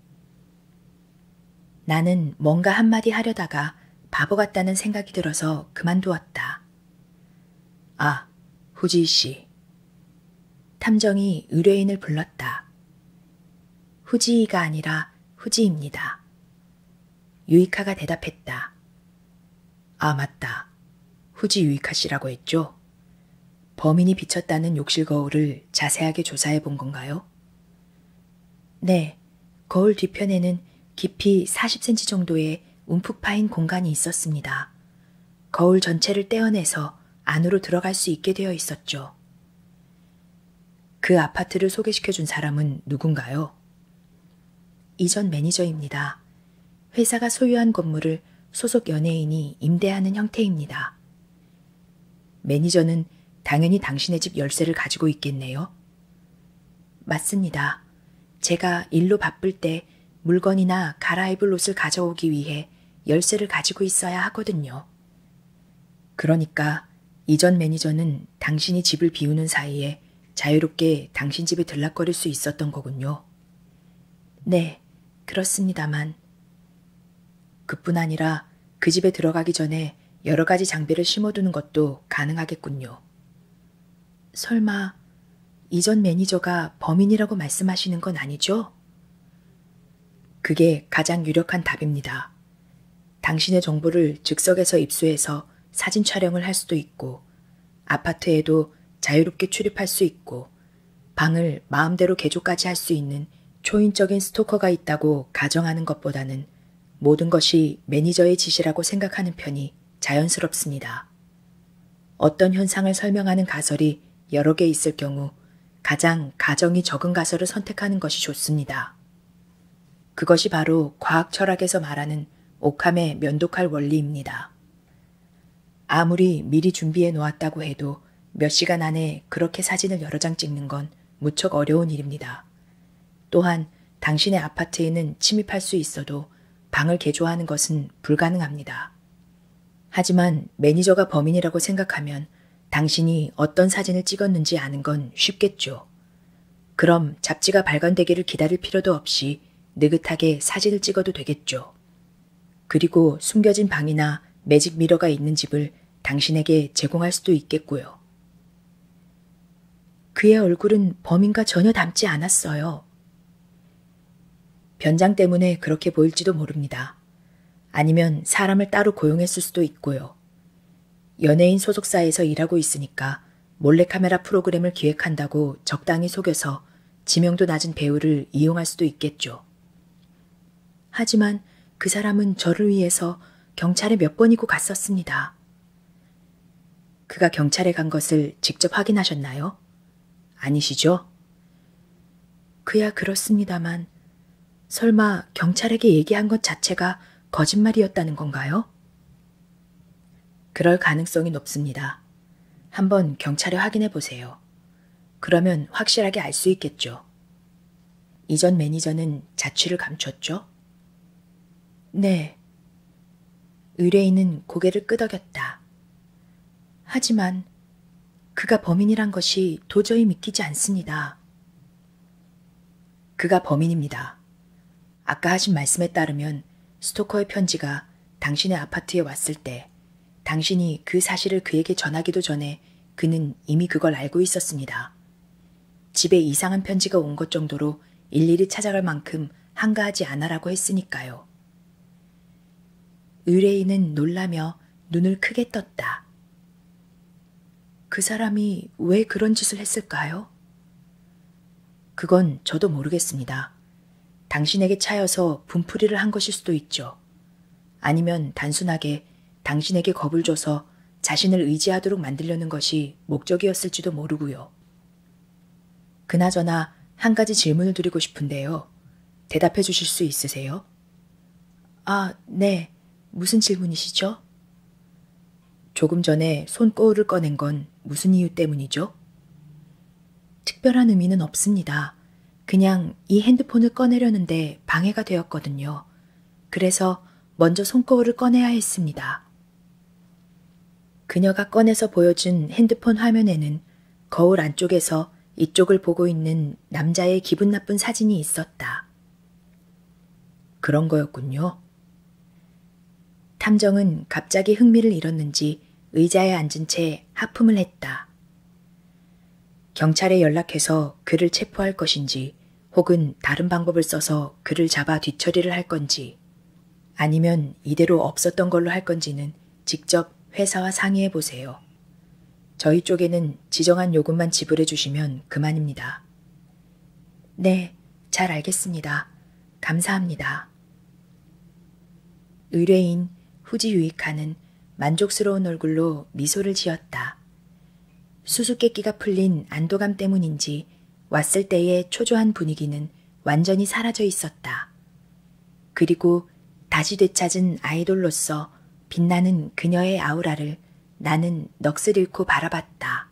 나는 뭔가 한마디 하려다가 바보 같다는 생각이 들어서 그만두었다. 아, 후지이 씨. 탐정이 의뢰인을 불렀다. 후지이가 아니라 후지입니다. 유이카가 대답했다. 아, 맞다. 후지 유이카 씨라고 했죠? 범인이 비쳤다는 욕실 거울을 자세하게 조사해 본 건가요? 네. 거울 뒤편에는 깊이 40cm 정도의 움푹 파인 공간이 있었습니다. 거울 전체를 떼어내서 안으로 들어갈 수 있게 되어 있었죠. 그 아파트를 소개시켜준 사람은 누군가요? 이전 매니저입니다. 회사가 소유한 건물을 소속 연예인이 임대하는 형태입니다. 매니저는 당연히 당신의 집 열쇠를 가지고 있겠네요. 맞습니다. 제가 일로 바쁠 때 물건이나 갈아입을 옷을 가져오기 위해 열쇠를 가지고 있어야 하거든요. 그러니까 이전 매니저는 당신이 집을 비우는 사이에 자유롭게 당신 집에 들락거릴 수 있었던 거군요. 네, 그렇습니다만. 그뿐 아니라 그 집에 들어가기 전에 여러 가지 장비를 심어두는 것도 가능하겠군요. 설마 이전 매니저가 범인이라고 말씀하시는 건 아니죠? 그게 가장 유력한 답입니다. 당신의 정보를 즉석에서 입수해서 사진 촬영을 할 수도 있고, 아파트에도 자유롭게 출입할 수 있고, 방을 마음대로 개조까지 할 수 있는 초인적인 스토커가 있다고 가정하는 것보다는 모든 것이 매니저의 지시라고 생각하는 편이 자연스럽습니다. 어떤 현상을 설명하는 가설이 여러 개 있을 경우 가장 가정이 적은 가설을 선택하는 것이 좋습니다. 그것이 바로 과학 철학에서 말하는 옥함의 면도칼 원리입니다. 아무리 미리 준비해 놓았다고 해도 몇 시간 안에 그렇게 사진을 여러 장 찍는 건 무척 어려운 일입니다. 또한 당신의 아파트에는 침입할 수 있어도 방을 개조하는 것은 불가능합니다. 하지만 매니저가 범인이라고 생각하면 당신이 어떤 사진을 찍었는지 아는 건 쉽겠죠. 그럼 잡지가 발간되기를 기다릴 필요도 없이 느긋하게 사진을 찍어도 되겠죠. 그리고 숨겨진 방이나 매직 미러가 있는 집을 당신에게 제공할 수도 있겠고요. 그의 얼굴은 범인과 전혀 닮지 않았어요. 변장 때문에 그렇게 보일지도 모릅니다. 아니면 사람을 따로 고용했을 수도 있고요. 연예인 소속사에서 일하고 있으니까 몰래카메라 프로그램을 기획한다고 적당히 속여서 지명도 낮은 배우를 이용할 수도 있겠죠. 하지만 그 사람은 저를 위해서 경찰에 몇 번이고 갔었습니다. 그가 경찰에 간 것을 직접 확인하셨나요? 아니시죠? 그야 그렇습니다만 설마 경찰에게 얘기한 것 자체가 거짓말이었다는 건가요? 그럴 가능성이 높습니다. 한번 경찰에 확인해 보세요. 그러면 확실하게 알 수 있겠죠. 이전 매니저는 자취를 감췄죠? 네. 의뢰인은 고개를 끄덕였다. 하지만 그가 범인이란 것이 도저히 믿기지 않습니다. 그가 범인입니다. 아까 하신 말씀에 따르면 스토커의 편지가 당신의 아파트에 왔을 때 당신이 그 사실을 그에게 전하기도 전에 그는 이미 그걸 알고 있었습니다. 집에 이상한 편지가 온 것 정도로 일일이 찾아갈 만큼 한가하지 않아라고 했으니까요. 의뢰인은 놀라며 눈을 크게 떴다. 그 사람이 왜 그런 짓을 했을까요? 그건 저도 모르겠습니다. 당신에게 차여서 분풀이를 한 것일 수도 있죠. 아니면 단순하게 당신에게 겁을 줘서 자신을 의지하도록 만들려는 것이 목적이었을지도 모르고요. 그나저나 한 가지 질문을 드리고 싶은데요. 대답해 주실 수 있으세요? 아, 네. 무슨 질문이시죠? 조금 전에 손거울을 꺼낸 건 무슨 이유 때문이죠? 특별한 의미는 없습니다. 그냥 이 핸드폰을 꺼내려는데 방해가 되었거든요. 그래서 먼저 손거울을 꺼내야 했습니다. 그녀가 꺼내서 보여준 핸드폰 화면에는 거울 안쪽에서 이쪽을 보고 있는 남자의 기분 나쁜 사진이 있었다. 그런 거였군요. 탐정은 갑자기 흥미를 잃었는지 의자에 앉은 채 하품을 했다. 경찰에 연락해서 그를 체포할 것인지 혹은 다른 방법을 써서 그를 잡아 뒤처리를 할 건지 아니면 이대로 없었던 걸로 할 건지는 직접 회사와 상의해 보세요. 저희 쪽에는 지정한 요금만 지불해 주시면 그만입니다. 네, 잘 알겠습니다. 감사합니다. 의뢰인 후지 유이카는 만족스러운 얼굴로 미소를 지었다. 수수께끼가 풀린 안도감 때문인지 왔을 때의 초조한 분위기는 완전히 사라져 있었다. 그리고 다시 되찾은 아이돌로서 빛나는 그녀의 아우라를 나는 넋을 잃고 바라봤다.